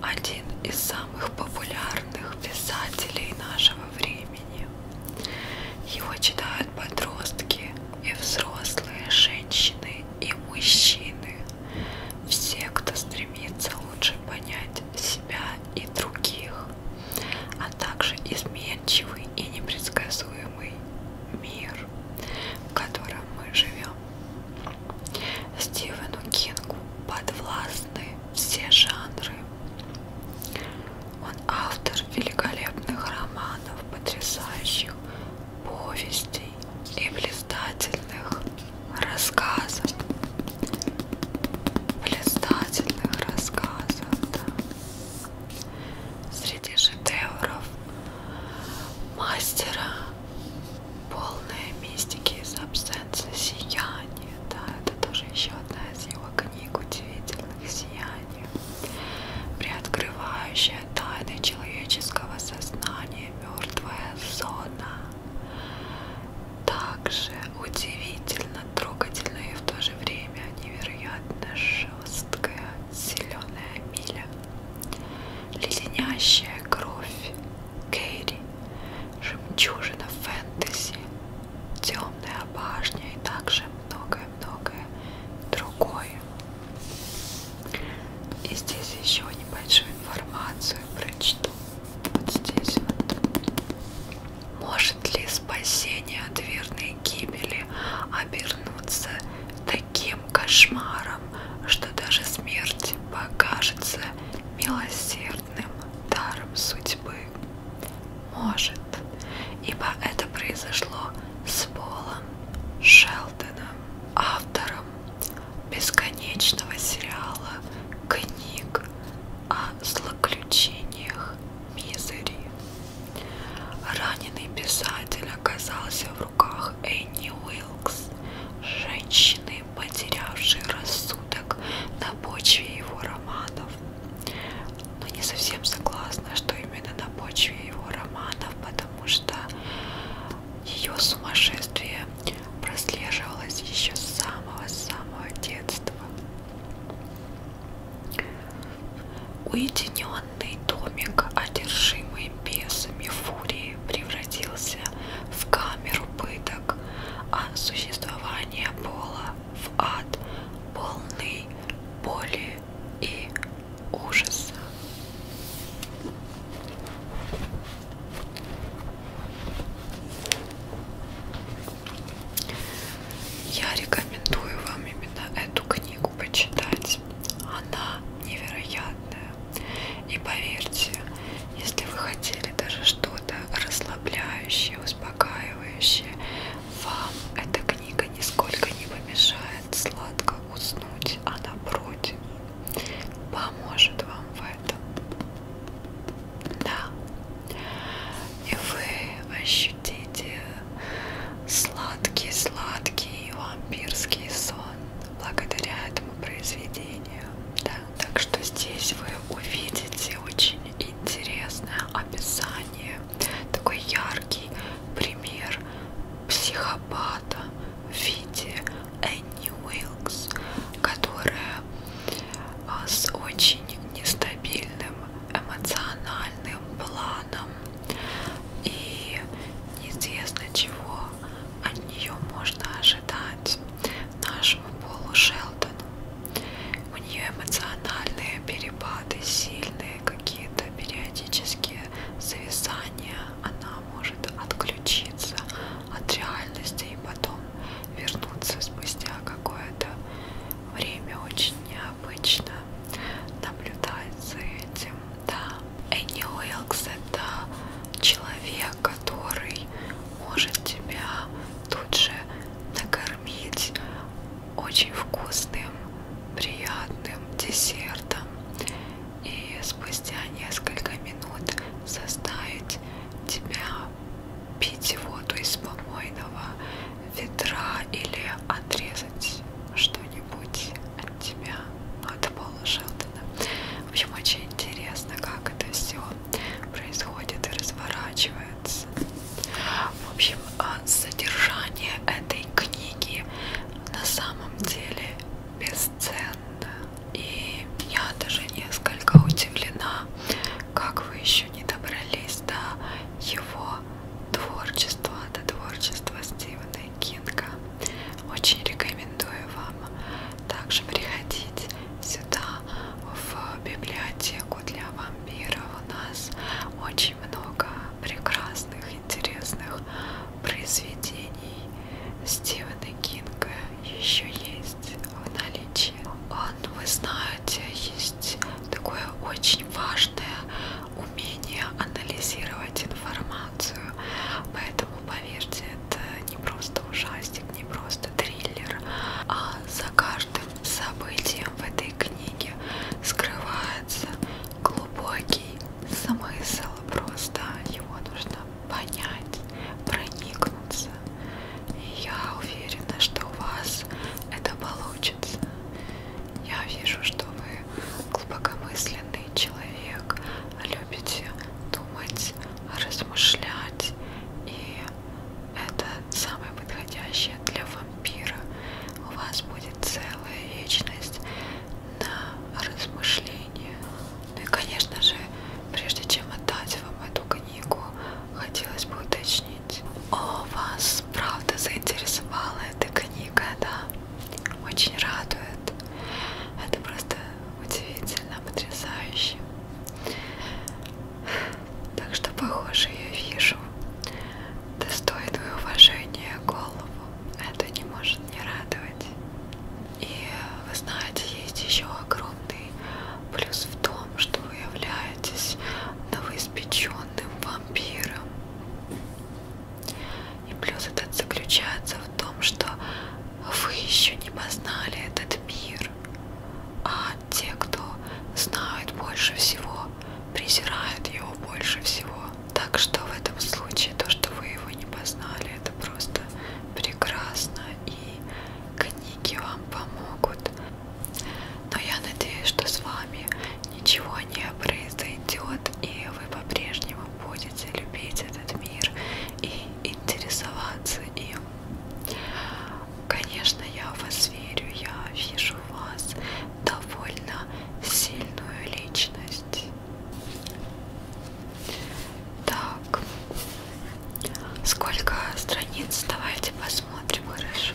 один из самых популярных писателей нашего времени. Его читают подростки и взрослые женщины и мужчины. Все, кто стремится лучше понять себя и других, а также изменчивый неуловимый и непредсказуемый мир, в котором мы живем. Стивену Кингу подвластны все жанры. Он автор великолепных романов, потрясающих повестей и блистательных рассказов. Блистательных рассказов, да среди шедевров мастера полная мистики из абсенса сияния. Да, это тоже еще одна из его книг удивительных сияний, приоткрывающая тайны человеческого сознания мертвая зона. Также удивительно, трогательно и в то же время невероятно жесткая зеленая миля леденящая кровь Кэрри, жемчужина фэнтези, темная башня и также многое-многое другое. И здесь еще небольшую информацию прочту. Вот здесь вот. Может ли спасение от верной гибели обернуться таким кошмаром, что даже смерть покажется милосердным даром судьбы. Может, ибо это произошло с Полом Шелдоном, автором бесконечного сериала книг о злоключениях Мизери. Раненый писатель оказался в руках Энни Уилкс, женщины, потерявшей рассудок на почве его романов. Но не совсем согласна, что именно на почве его романов, потому что ее сумасшествие прослеживалось еще с самого-самого детства. Уединенный домик, одержимый бесами фурии, превратился в камеру пыток, а существование Пола в ад, полный боли и ужаса. Я рекомендую вам именно эту книгу почитать. Она невероятная. И поверьте, если вы хотели даже что-то расслабляющее, успокаивающее, вам эта книга нисколько не помешает сладко уснуть, а напротив, поможет вам в этом. Да. И вы ощутите сладкий-сладкий вампирский сон благодаря этому произведению. Да? Так что здесь вы увидите очень интересное описание, такой яркий пример психопата в виде Энни Уилкс, которая а, с очень нестабильным эмоциональным планом и неизвестно чего от нее можно ожидать нашему Полу Шелдону. У нее эмоциональные перепады, сильные какие-то периодические зависания. Она может отключиться от реальности и потом вернуться спустя какое-то время очень необычно наблюдать за этим, да. Энни Уилкс это человек, который может тебя тут же накормить очень вкусным, приятным десертом и спустя несколько минут заставить тебя пить воду из помойного ведра или отрезать что-нибудь вернуть от тебя. Ну, это Пола Шелдона. В общем, очень интересно, как это все происходит и разворачивается. В общем, а, содержание этой книги на самом деле бесценно. И я даже несколько удивлена, как вы еще не добрались до его творчество, это творчество Стивена Кинга. Очень рекомендую вам также приходить сюда, в библиотеку для вампиров. У нас очень много прекрасных, интересных произведений Стивена Кинга еще есть в наличии. Он, вы знаете, есть такое очень важное умение анализировать информацию. Поэтому, поверьте, это не просто ужастик, не просто триллер, а за каждым событием в этой книге скрывается глубокий смысл. Просто его нужно понять, проникнуться. И я уверена, что у вас это получится. Я вижу, что вы глубокомысленный человек, любите думать, размышлять, и это самое подходящее для вампира. У вас будет целая вечность на размышления. Ну и, конечно же, прежде чем отдать вам эту книгу, хотелось бы уточнить, о, вас правда заинтересовала эта книга, да? очень радует. Это просто удивительно, потрясающе. Так что, похоже, я вижу достойную уважения голову. Это не может не радовать. И вы знаете, есть еще огромный плюс в том, что вы являетесь новоиспеченным вампиром. И плюс этот заключается в том, что вы еще не познали этот мир, а те, кто знают больше всего, презирают его больше всего. Так что в этом случае то, что вы его не познали, это просто прекрасно, и книги вам помогут. Но я надеюсь, что с вами ничего не произойдет, и вы по-прежнему вы будете любить этот мир и интересоваться им. Конечно, я в вас верю, я вижу в вас довольно сильную личность. Так, сколько страниц? Давайте посмотрим, хорошо.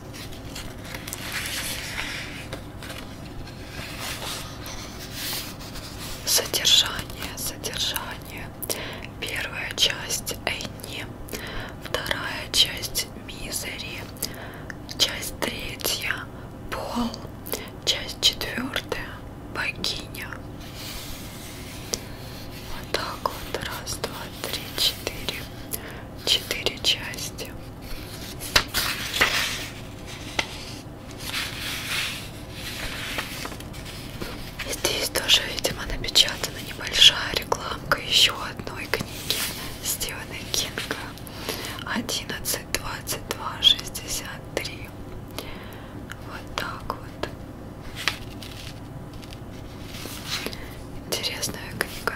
Содержание, содержание. Первая часть Энни, вторая часть Мизери, часть третья Пол, часть четвертая Богиня. Вот так вот, раз, два, три, четыре. Четыре части. Здесь тоже, видимо, напечатана небольшая рекламка еще одной книги Стивена Кинга 11, 22, 63. Вот так вот. Интересная книга.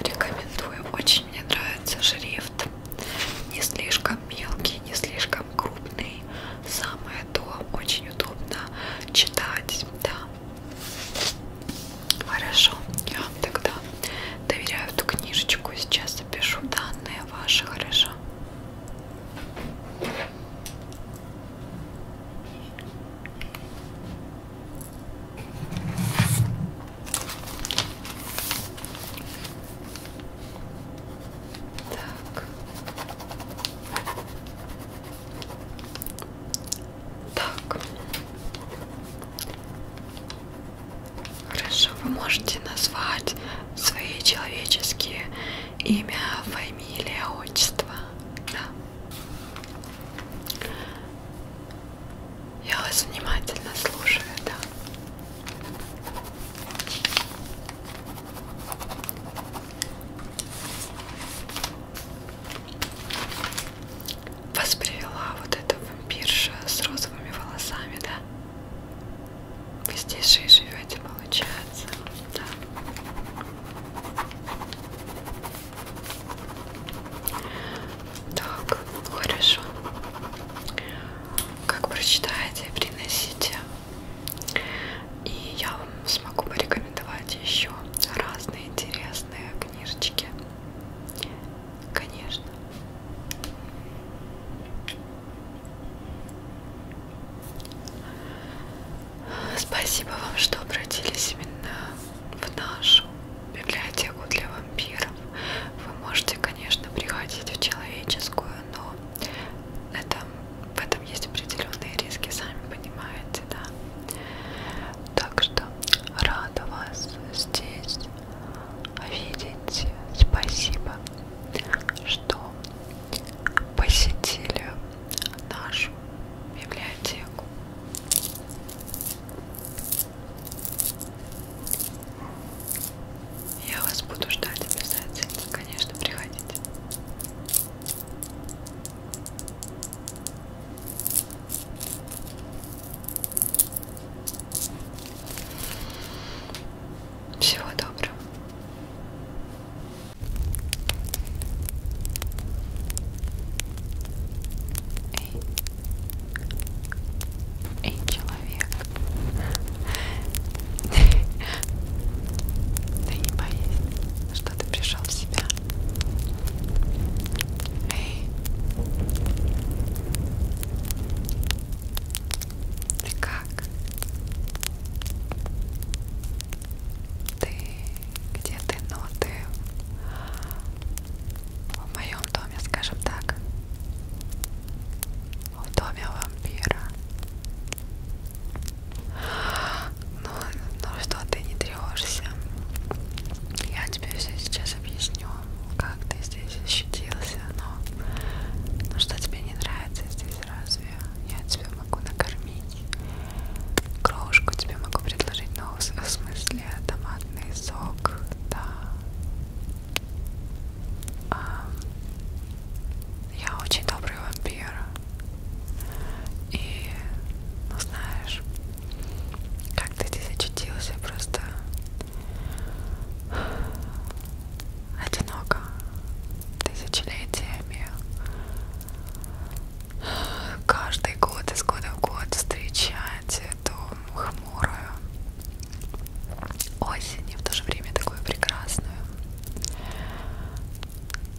Рекомендую. Очень мне нравится шрифт. Не слишком мелкий, не слишком крупный. Самое то. Очень удобно читать. Да. Хорошо. Я вам тогда доверяю эту книжечку. Сейчас запишу данные ваши. Хорошо. Так. Так. Хорошо, вы можете назвать свои человеческие имя, фамилия, отчество. Да. Я вас внимательно слушаю, да. Вас привела вот эта вампирша с розовыми волосами, да? Вы здесь же и живете, получается, да. Так, хорошо. Как прочитаете, приносите. И я вам смогу порекомендовать еще разные интересные книжечки. Конечно. Спасибо вам, что обратились именно в нашу библиотеку для вампиров. Вы можете, конечно, приходить в человеческую, но это, в этом есть определенные риски, сами понимаете, да. Так что рада вас здесь видеть. Спасибо, что посетили нашу библиотеку. Я вас буду ждать обязательно, конечно, приходите. Всего доброго. Эй. Эй, человек. Да не боись, что ты пришел в себя. Эй. Ты как? Ты где ты, но ну, ты в моем доме, скажем так, в доме вампира. Ну, ну что, ты не тревожься. Я тебе все сейчас объясню, как ты здесь защитился, но, но что тебе не нравится здесь, разве я тебя могу накормить? Кровушку тебе могу предложить, но в смысле после томатный сок, да. А, я очень добрый вампир. И, ну знаешь, как ты здесь очутился, просто одиноко тысячелетиями. Каждый год из года в год встречаем знаете, эту хмурую осень и в то же время такую прекрасную,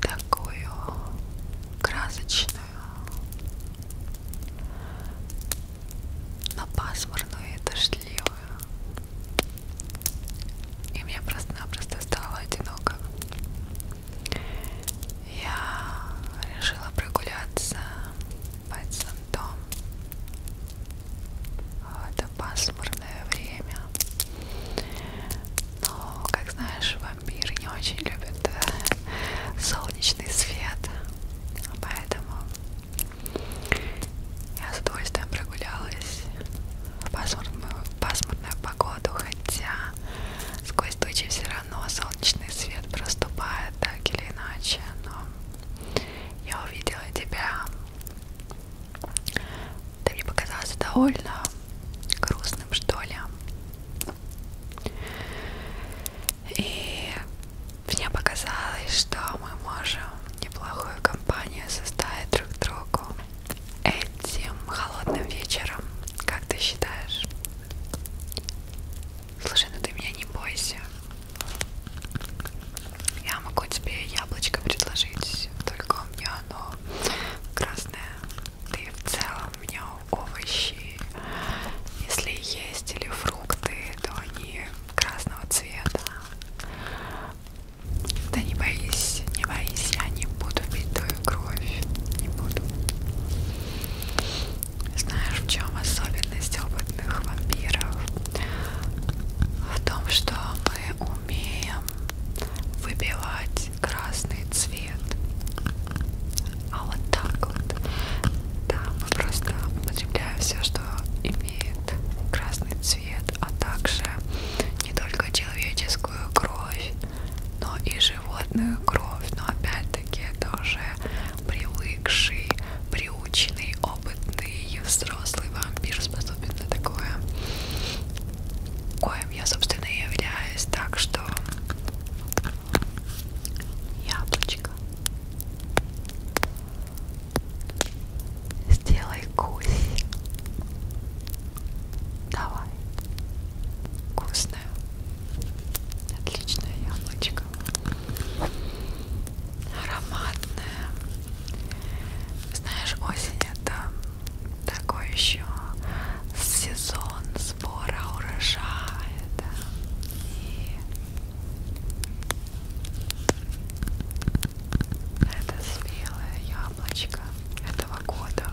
такую красочную, но пасмурную и дождливую. И мне просто-напросто стало одиноко я решила прогуляться по центом в это пасмурное время. Но, как знаешь, вампиры не очень любят э, солнечный свет, поэтому я с удовольствием прогулялась в пасмурную, пасмурную погоду, хотя сквозь тучи все равно солнечный свет проступает так или иначе, но я увидела тебя. Ты мне показался довольно грустным, что ли. И мне показалось, что мы можем неплохую компанию составить друг другу этим холодным вечером. Как ты считаешь? Слушай, ну ты меня не бойся. Я могу тебе яблочко предложить, только у меня оно красное. Ты в целом у меня овощи. Если есть или фрукты, то они красного цвета. Да не боись, не боись, я не буду пить твою кровь. Не буду. Знаешь, в чем особенность опытных вампиров? В том, что мы умеем выбивать красный цвет. А вот так вот. Да, мы просто употребляем все, что имеет красный цвет, а также не только человеческую кровь, но и животную животную кровь, но опять-таки это уже привыкший, приученный, опытный взрослый вампир способен на такое, коим я, собственно, и являюсь, так что яблочко. Сделай гусь. Давай. Вкусное. Отличное яблочко ароматная. Знаешь, осень это такой еще сезон сбора урожая, да? И это спелое яблочко этого года.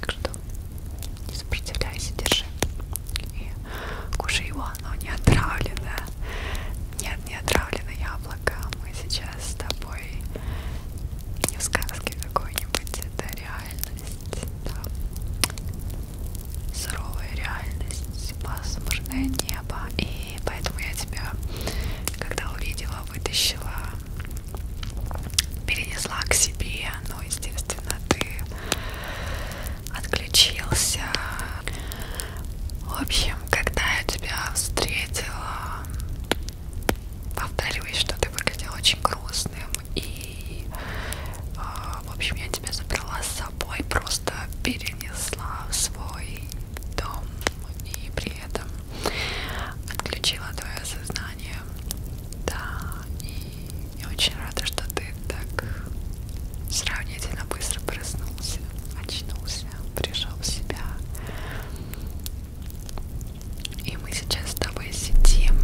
Так что не сопротивляйся, держи. И кушай его, оно не отравлено. Нет, не отравлено яблоко. Мы сейчас с тобой не в сказке какой-нибудь. Это реальность. Да. Суровая реальность, пасмурное небо. И поэтому я тебя, когда увидела, вытащила, перенесла к себе. Ну, естественно естественно, ты отключился. В общем, когда я тебя встретила, повторюсь, что ты выглядел очень грустным, и, э, в общем, я тебя забрала с собой, просто перенесла в свой дом, и при этом отключила твое сознание желание. Да, и я очень рада, что ты так сравнительно быстро проснулся, очнулся, пришел в себя. И мы сейчас с тобой сидим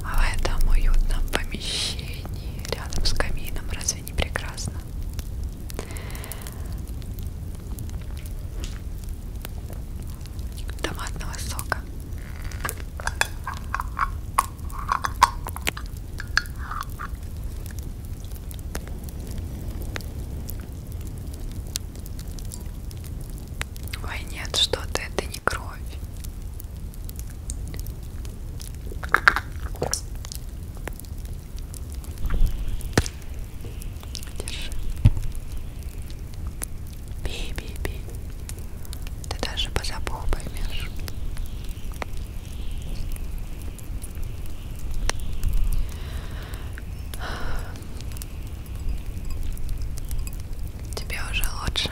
в этом уютном помещении рядом с камином. Разве не прекрасно? томатного сока. Ой, нет, что ты, это не кровь. Держи. Пей, пей, пей. Ты даже по запаху поймешь. Тебе уже лучше.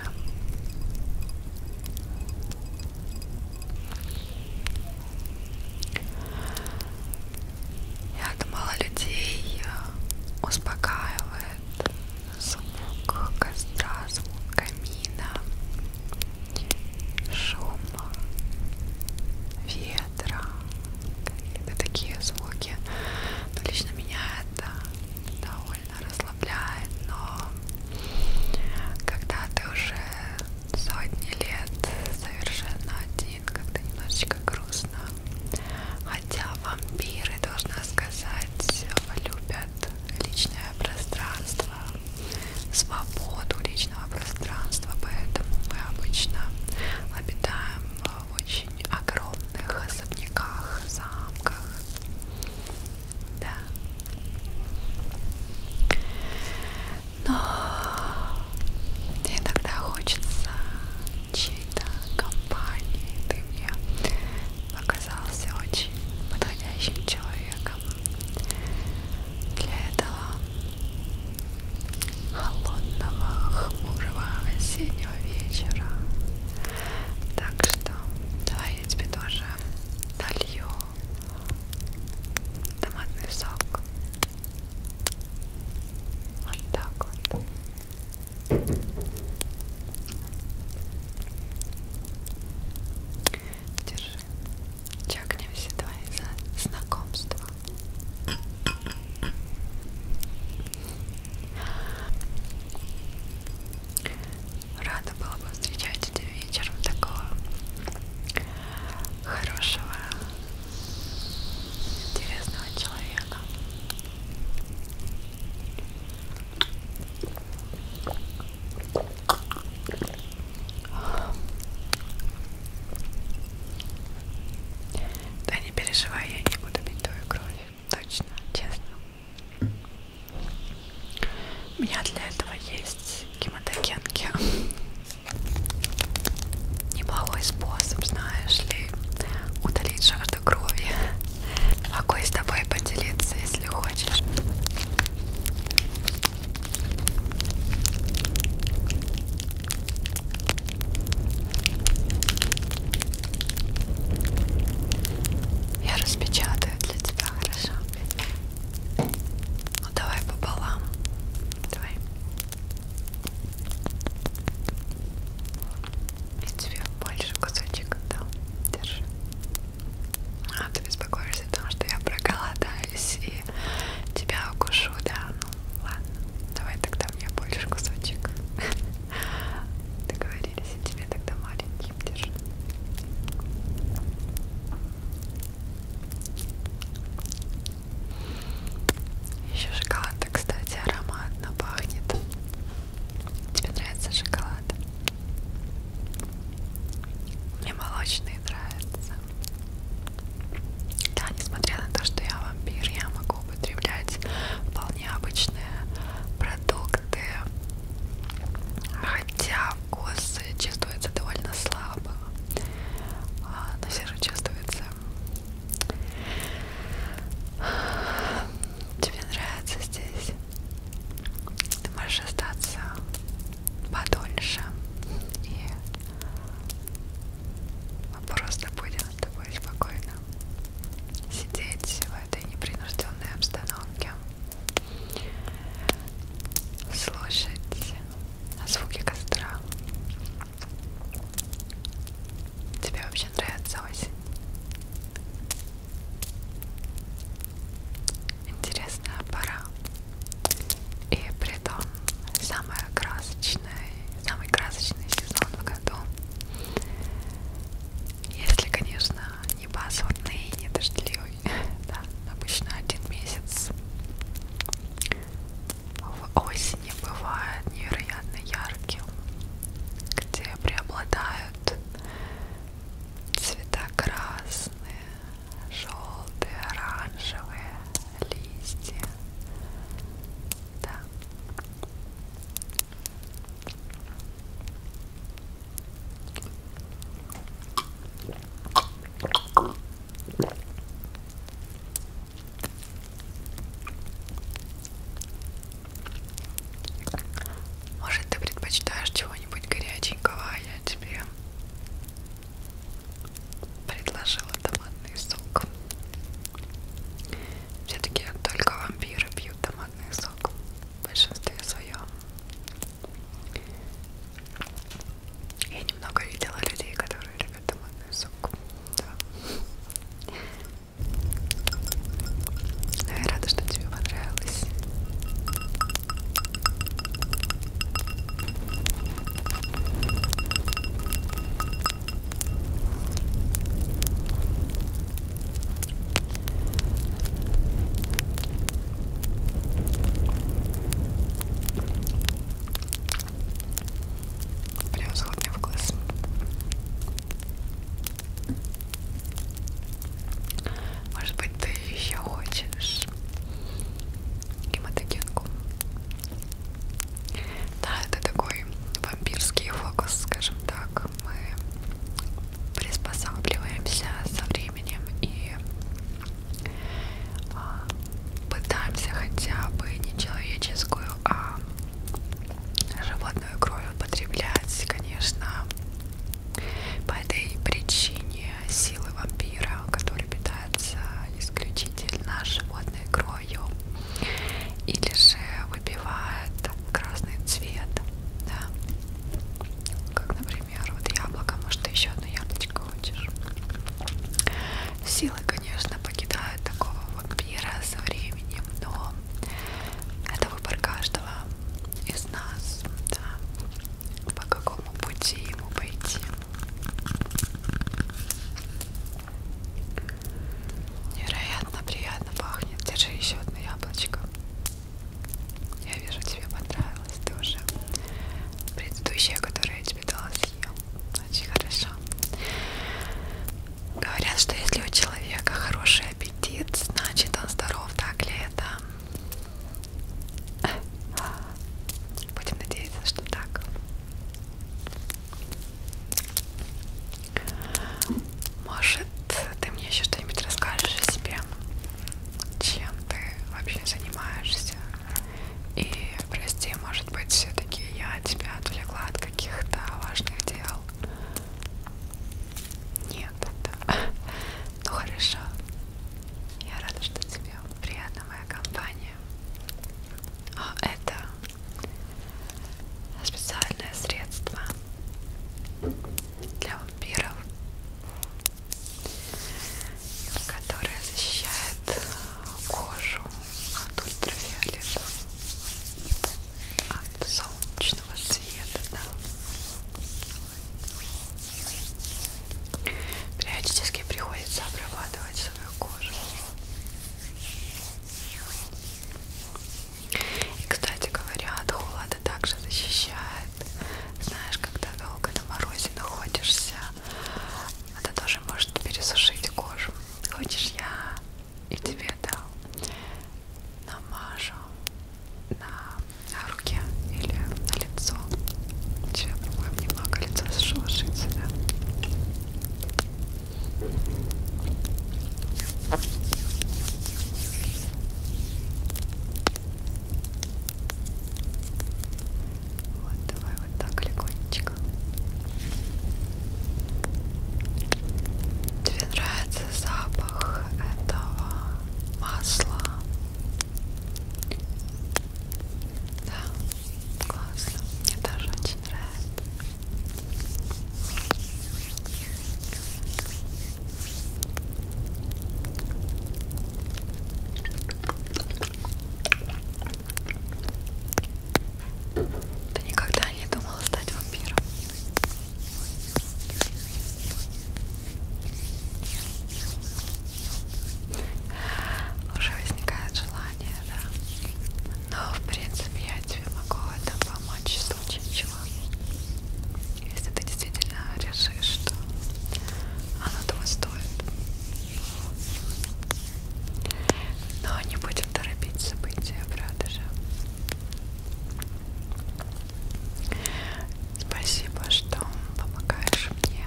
Я думала, людей э, успокаивает звук костра, звук камина, шум ветра, какие-то такие звуки. Но лично меня это довольно расслабляет, но когда ты уже сотни лет совершенно один, как-то немножечко грустно. Хотя вампиры, должна сказать, любят личное пространство, свободу личного пространства, поэтому мы обычно обитаем в очень огромных особняках, замках. Да. Но иногда хочется чьей-то компании. Ты мне оказался очень подходящим человеком. Для этого холодного, хмурого осеннего вечера. Так что давай я тебе тоже долью томатный сок. Вот так вот. Держи. Чакнем все твои за знакомство. Рада была бы встречать тебя вечером такого хорошего, интересного человека. Да не переживай, я не буду бить твою кровь. Точно, честно. У меня для этого есть гематогенки. Неплохой способ, знаешь ли, удалить жажду крови. Могу и с тобой поделиться, если хочешь. Я распечатаю для тебя, хорошо? Ну давай пополам. Давай. И тебе больше кусочек дал. Держи. А ты беспокоишься о том, что я проголодаюсь и тебя укушу, да? Ну ладно, давай тогда мне больше кусочек. Договорились, и тебе тогда маленьким держи. Еще шоколад, кстати, ароматно пахнет. Тебе нравится шоколад? Мне молочные нравятся. Да, несмотря на то, что я вампир, я могу употреблять вполне обычные продукты. Хотя вкус чувствуется довольно слабо. А, но все же чувствуется тебе нравится здесь, ты можешь остаться подольше, и мы просто будем с тобой спокойно сидеть в этой непринужденной обстановке, слушать звуки костра Тебе вообще нравится осень? Интересная пора. И при том самая красочная, самый красочный сезон в году. Если, конечно, не пасмурный и не дождливый. Да, обычно один месяц. В осени бывает невероятно ярким, где преобладают Цвета красные, желтые, оранжевые, листья. Да. Может, ты предпочитаешь чего-нибудь горяченького, а я тебе предложила томатный сок. Все-таки только вампиры пьют томатный сок в большинстве своем. Я немного видела людей, которые любят томатный сок. Да. Но ну, я рада, что тебе понравилось. Прям сходный в глаз. Может быть, ты еще хочешь гематогенку? Да, это такой вампирский фокус, скажем так. Мы приспосабливаемся со временем и а, пытаемся хотя бы не человеческую, а животную кровь употреблять, конечно, по этой причине силы вампира, который питается исключительно животной кровью, или же выпивает красный цвет, да, как, например, вот яблоко, может, ты еще одно яблочко хочешь. Силы, конечно, покидают такого вампира со временем, но это выбор каждого из нас, да, по какому пути ему пойти. Невероятно приятно пахнет. Держи еще одно яблочко. Я вижу, тебе понравилось. Ты уже предыдущее, которое я тебе дала, съел. Очень хорошо. Говорят, что если у человека хороший аппетит, значит он здоров, так ли это? Будем надеяться, что так. Может, ты мне еще что-нибудь расскажешь о себе? Чем ты вообще занимаешься? И, прости, может быть, все-таки я тебя отвлекла от каких-то важных дел. Нет, это... Ну хорошо. Я рада, что тебе приятна моя компания. А это специальное средство для вампиров, которое защищает кожу от ультрафиолета от солнечного света, да. Периодически приходится обрабатывать свою кожу. И, кстати говоря, от холода также защищает. Знаешь, когда долго на морозе находишься, это тоже может пересушить кожу. Хочешь, я и тебе дал намажу на руке или на лицо тебе, по-моему, немного лицо шелушится, да? Вот, давай вот так легонечко. Тебе нравится запах этого масла. Да, классно. Мне даже очень нравится. Ты никогда не думала стать вампиром? Уже возникает желание, да. Но в принципе я тебе могу в этом помочь в случае чего. Если ты действительно решишь, что оно того стоит. Но не будем торопить события, правда же? Спасибо, что помогаешь мне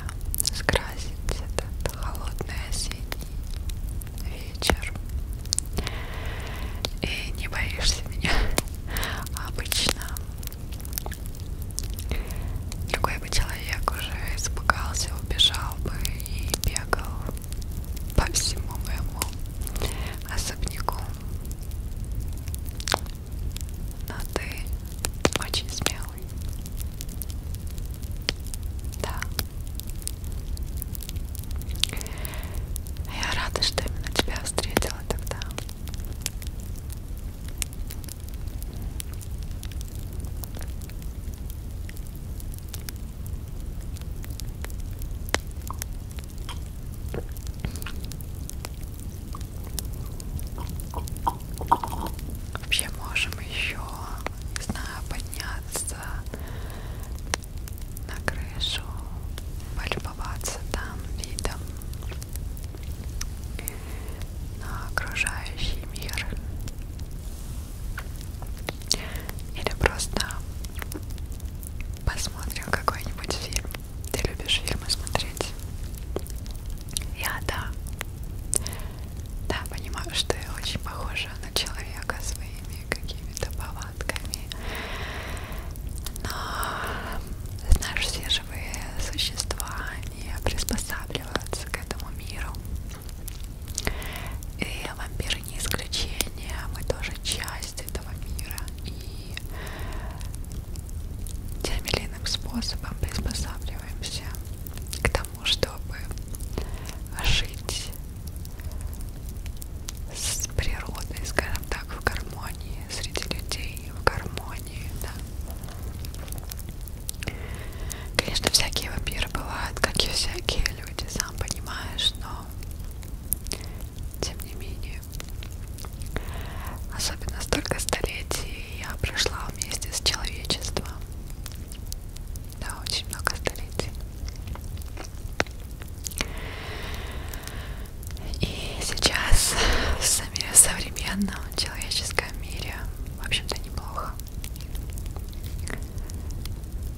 скрасить этот холодный осенний вечер. И не боишься меня обычно. Другой бы человек уже испугался, убежал бы и бегал по всему моему особняку. Но ты очень смелый. Да. Я рада, что именно тебя встретила тогда. Вообще можем еще, не знаю, подняться на крышу, полюбоваться там видом на окружающий мир. Или просто посмотрим какой-нибудь фильм. Ты любишь фильмы смотреть? Я да. Да, понимаю, что я очень похожа на человека своими какими-то повадками. Но, знаешь, все живые существа, они приспосабливаются к этому миру. И вампиры не исключение, мы тоже часть этого мира. И и тем или иным способом приспосабливаемся к тому, чтобы жить с природой, скажем так, в гармонии, среди людей в гармонии, да. Конечно, всякие вампиры бывают, как и всякие люди, сам понимаешь, но тем не менее жизни. Особенно столько столетий я прошла вместе с человечеством. Да, очень много столетий. И сейчас в современном человеческом мире, в общем-то, неплохо.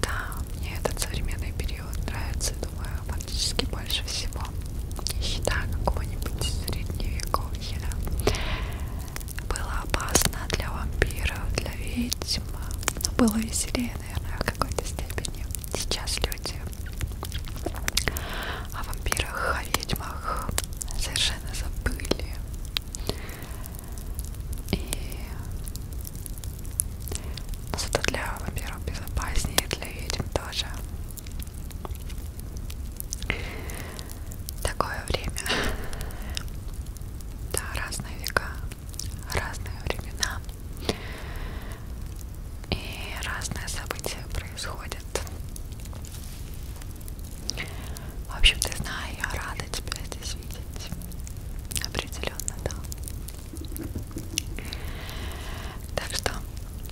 Да, мне этот современный период нравится, думаю, фактически больше всего. Еда какого-нибудь средневековья было опасно для вампиров, для ведьм, но было веселее, наверное, в какой-то степени. Сейчас люди о вампирах, о ведьмах совершенно забыли. И но ну, зато для вампиров безопаснее, для ведьм тоже. Такое время. Да, разные века, разные времена. И разные события происходят. В общем, ты знаю, я рада тебя здесь видеть. Определенно, да. Так что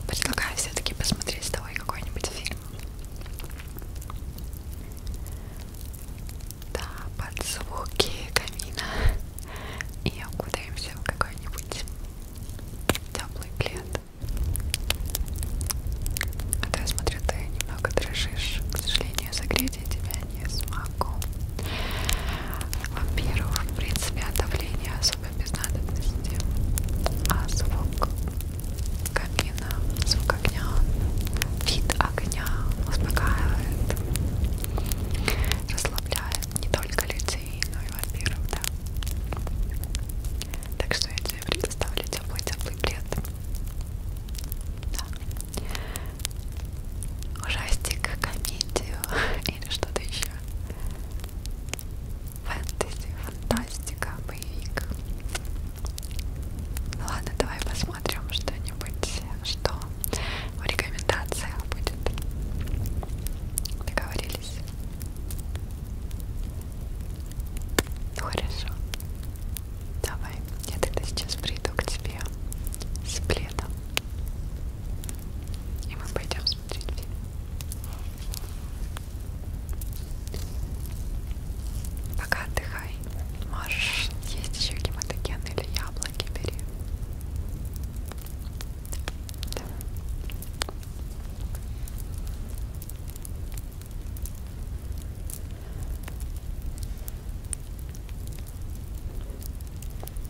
предлагаю все-таки посмотреть с тобой какой-нибудь фильм. Да, под звуки камина и окудаемся в какой-нибудь теплый плед. А то я смотрю, ты немного дрожишь. К сожалению, согреть я тебя не смогу. Во-первых, в принципе, от давления с особо без надобности, а звук камина, звук огня, вид огня успокаивает, расслабляет не только людей, но и вампиров, да. Так что я тебе предоставлю теплый-теплый плед. Да. Ужастик, комедию или что-то еще. Фэнтези, фантастика, боевик. Ну ладно, давай посмотрим что-нибудь, что в рекомендациях будет. Договорились. Ну хорошо. Давай, я тогда сейчас приду к тебе с пледом. И мы пойдем смотреть фильм. Пока отдыхай. Можешь есть еще гематоген или яблоки бери. Да.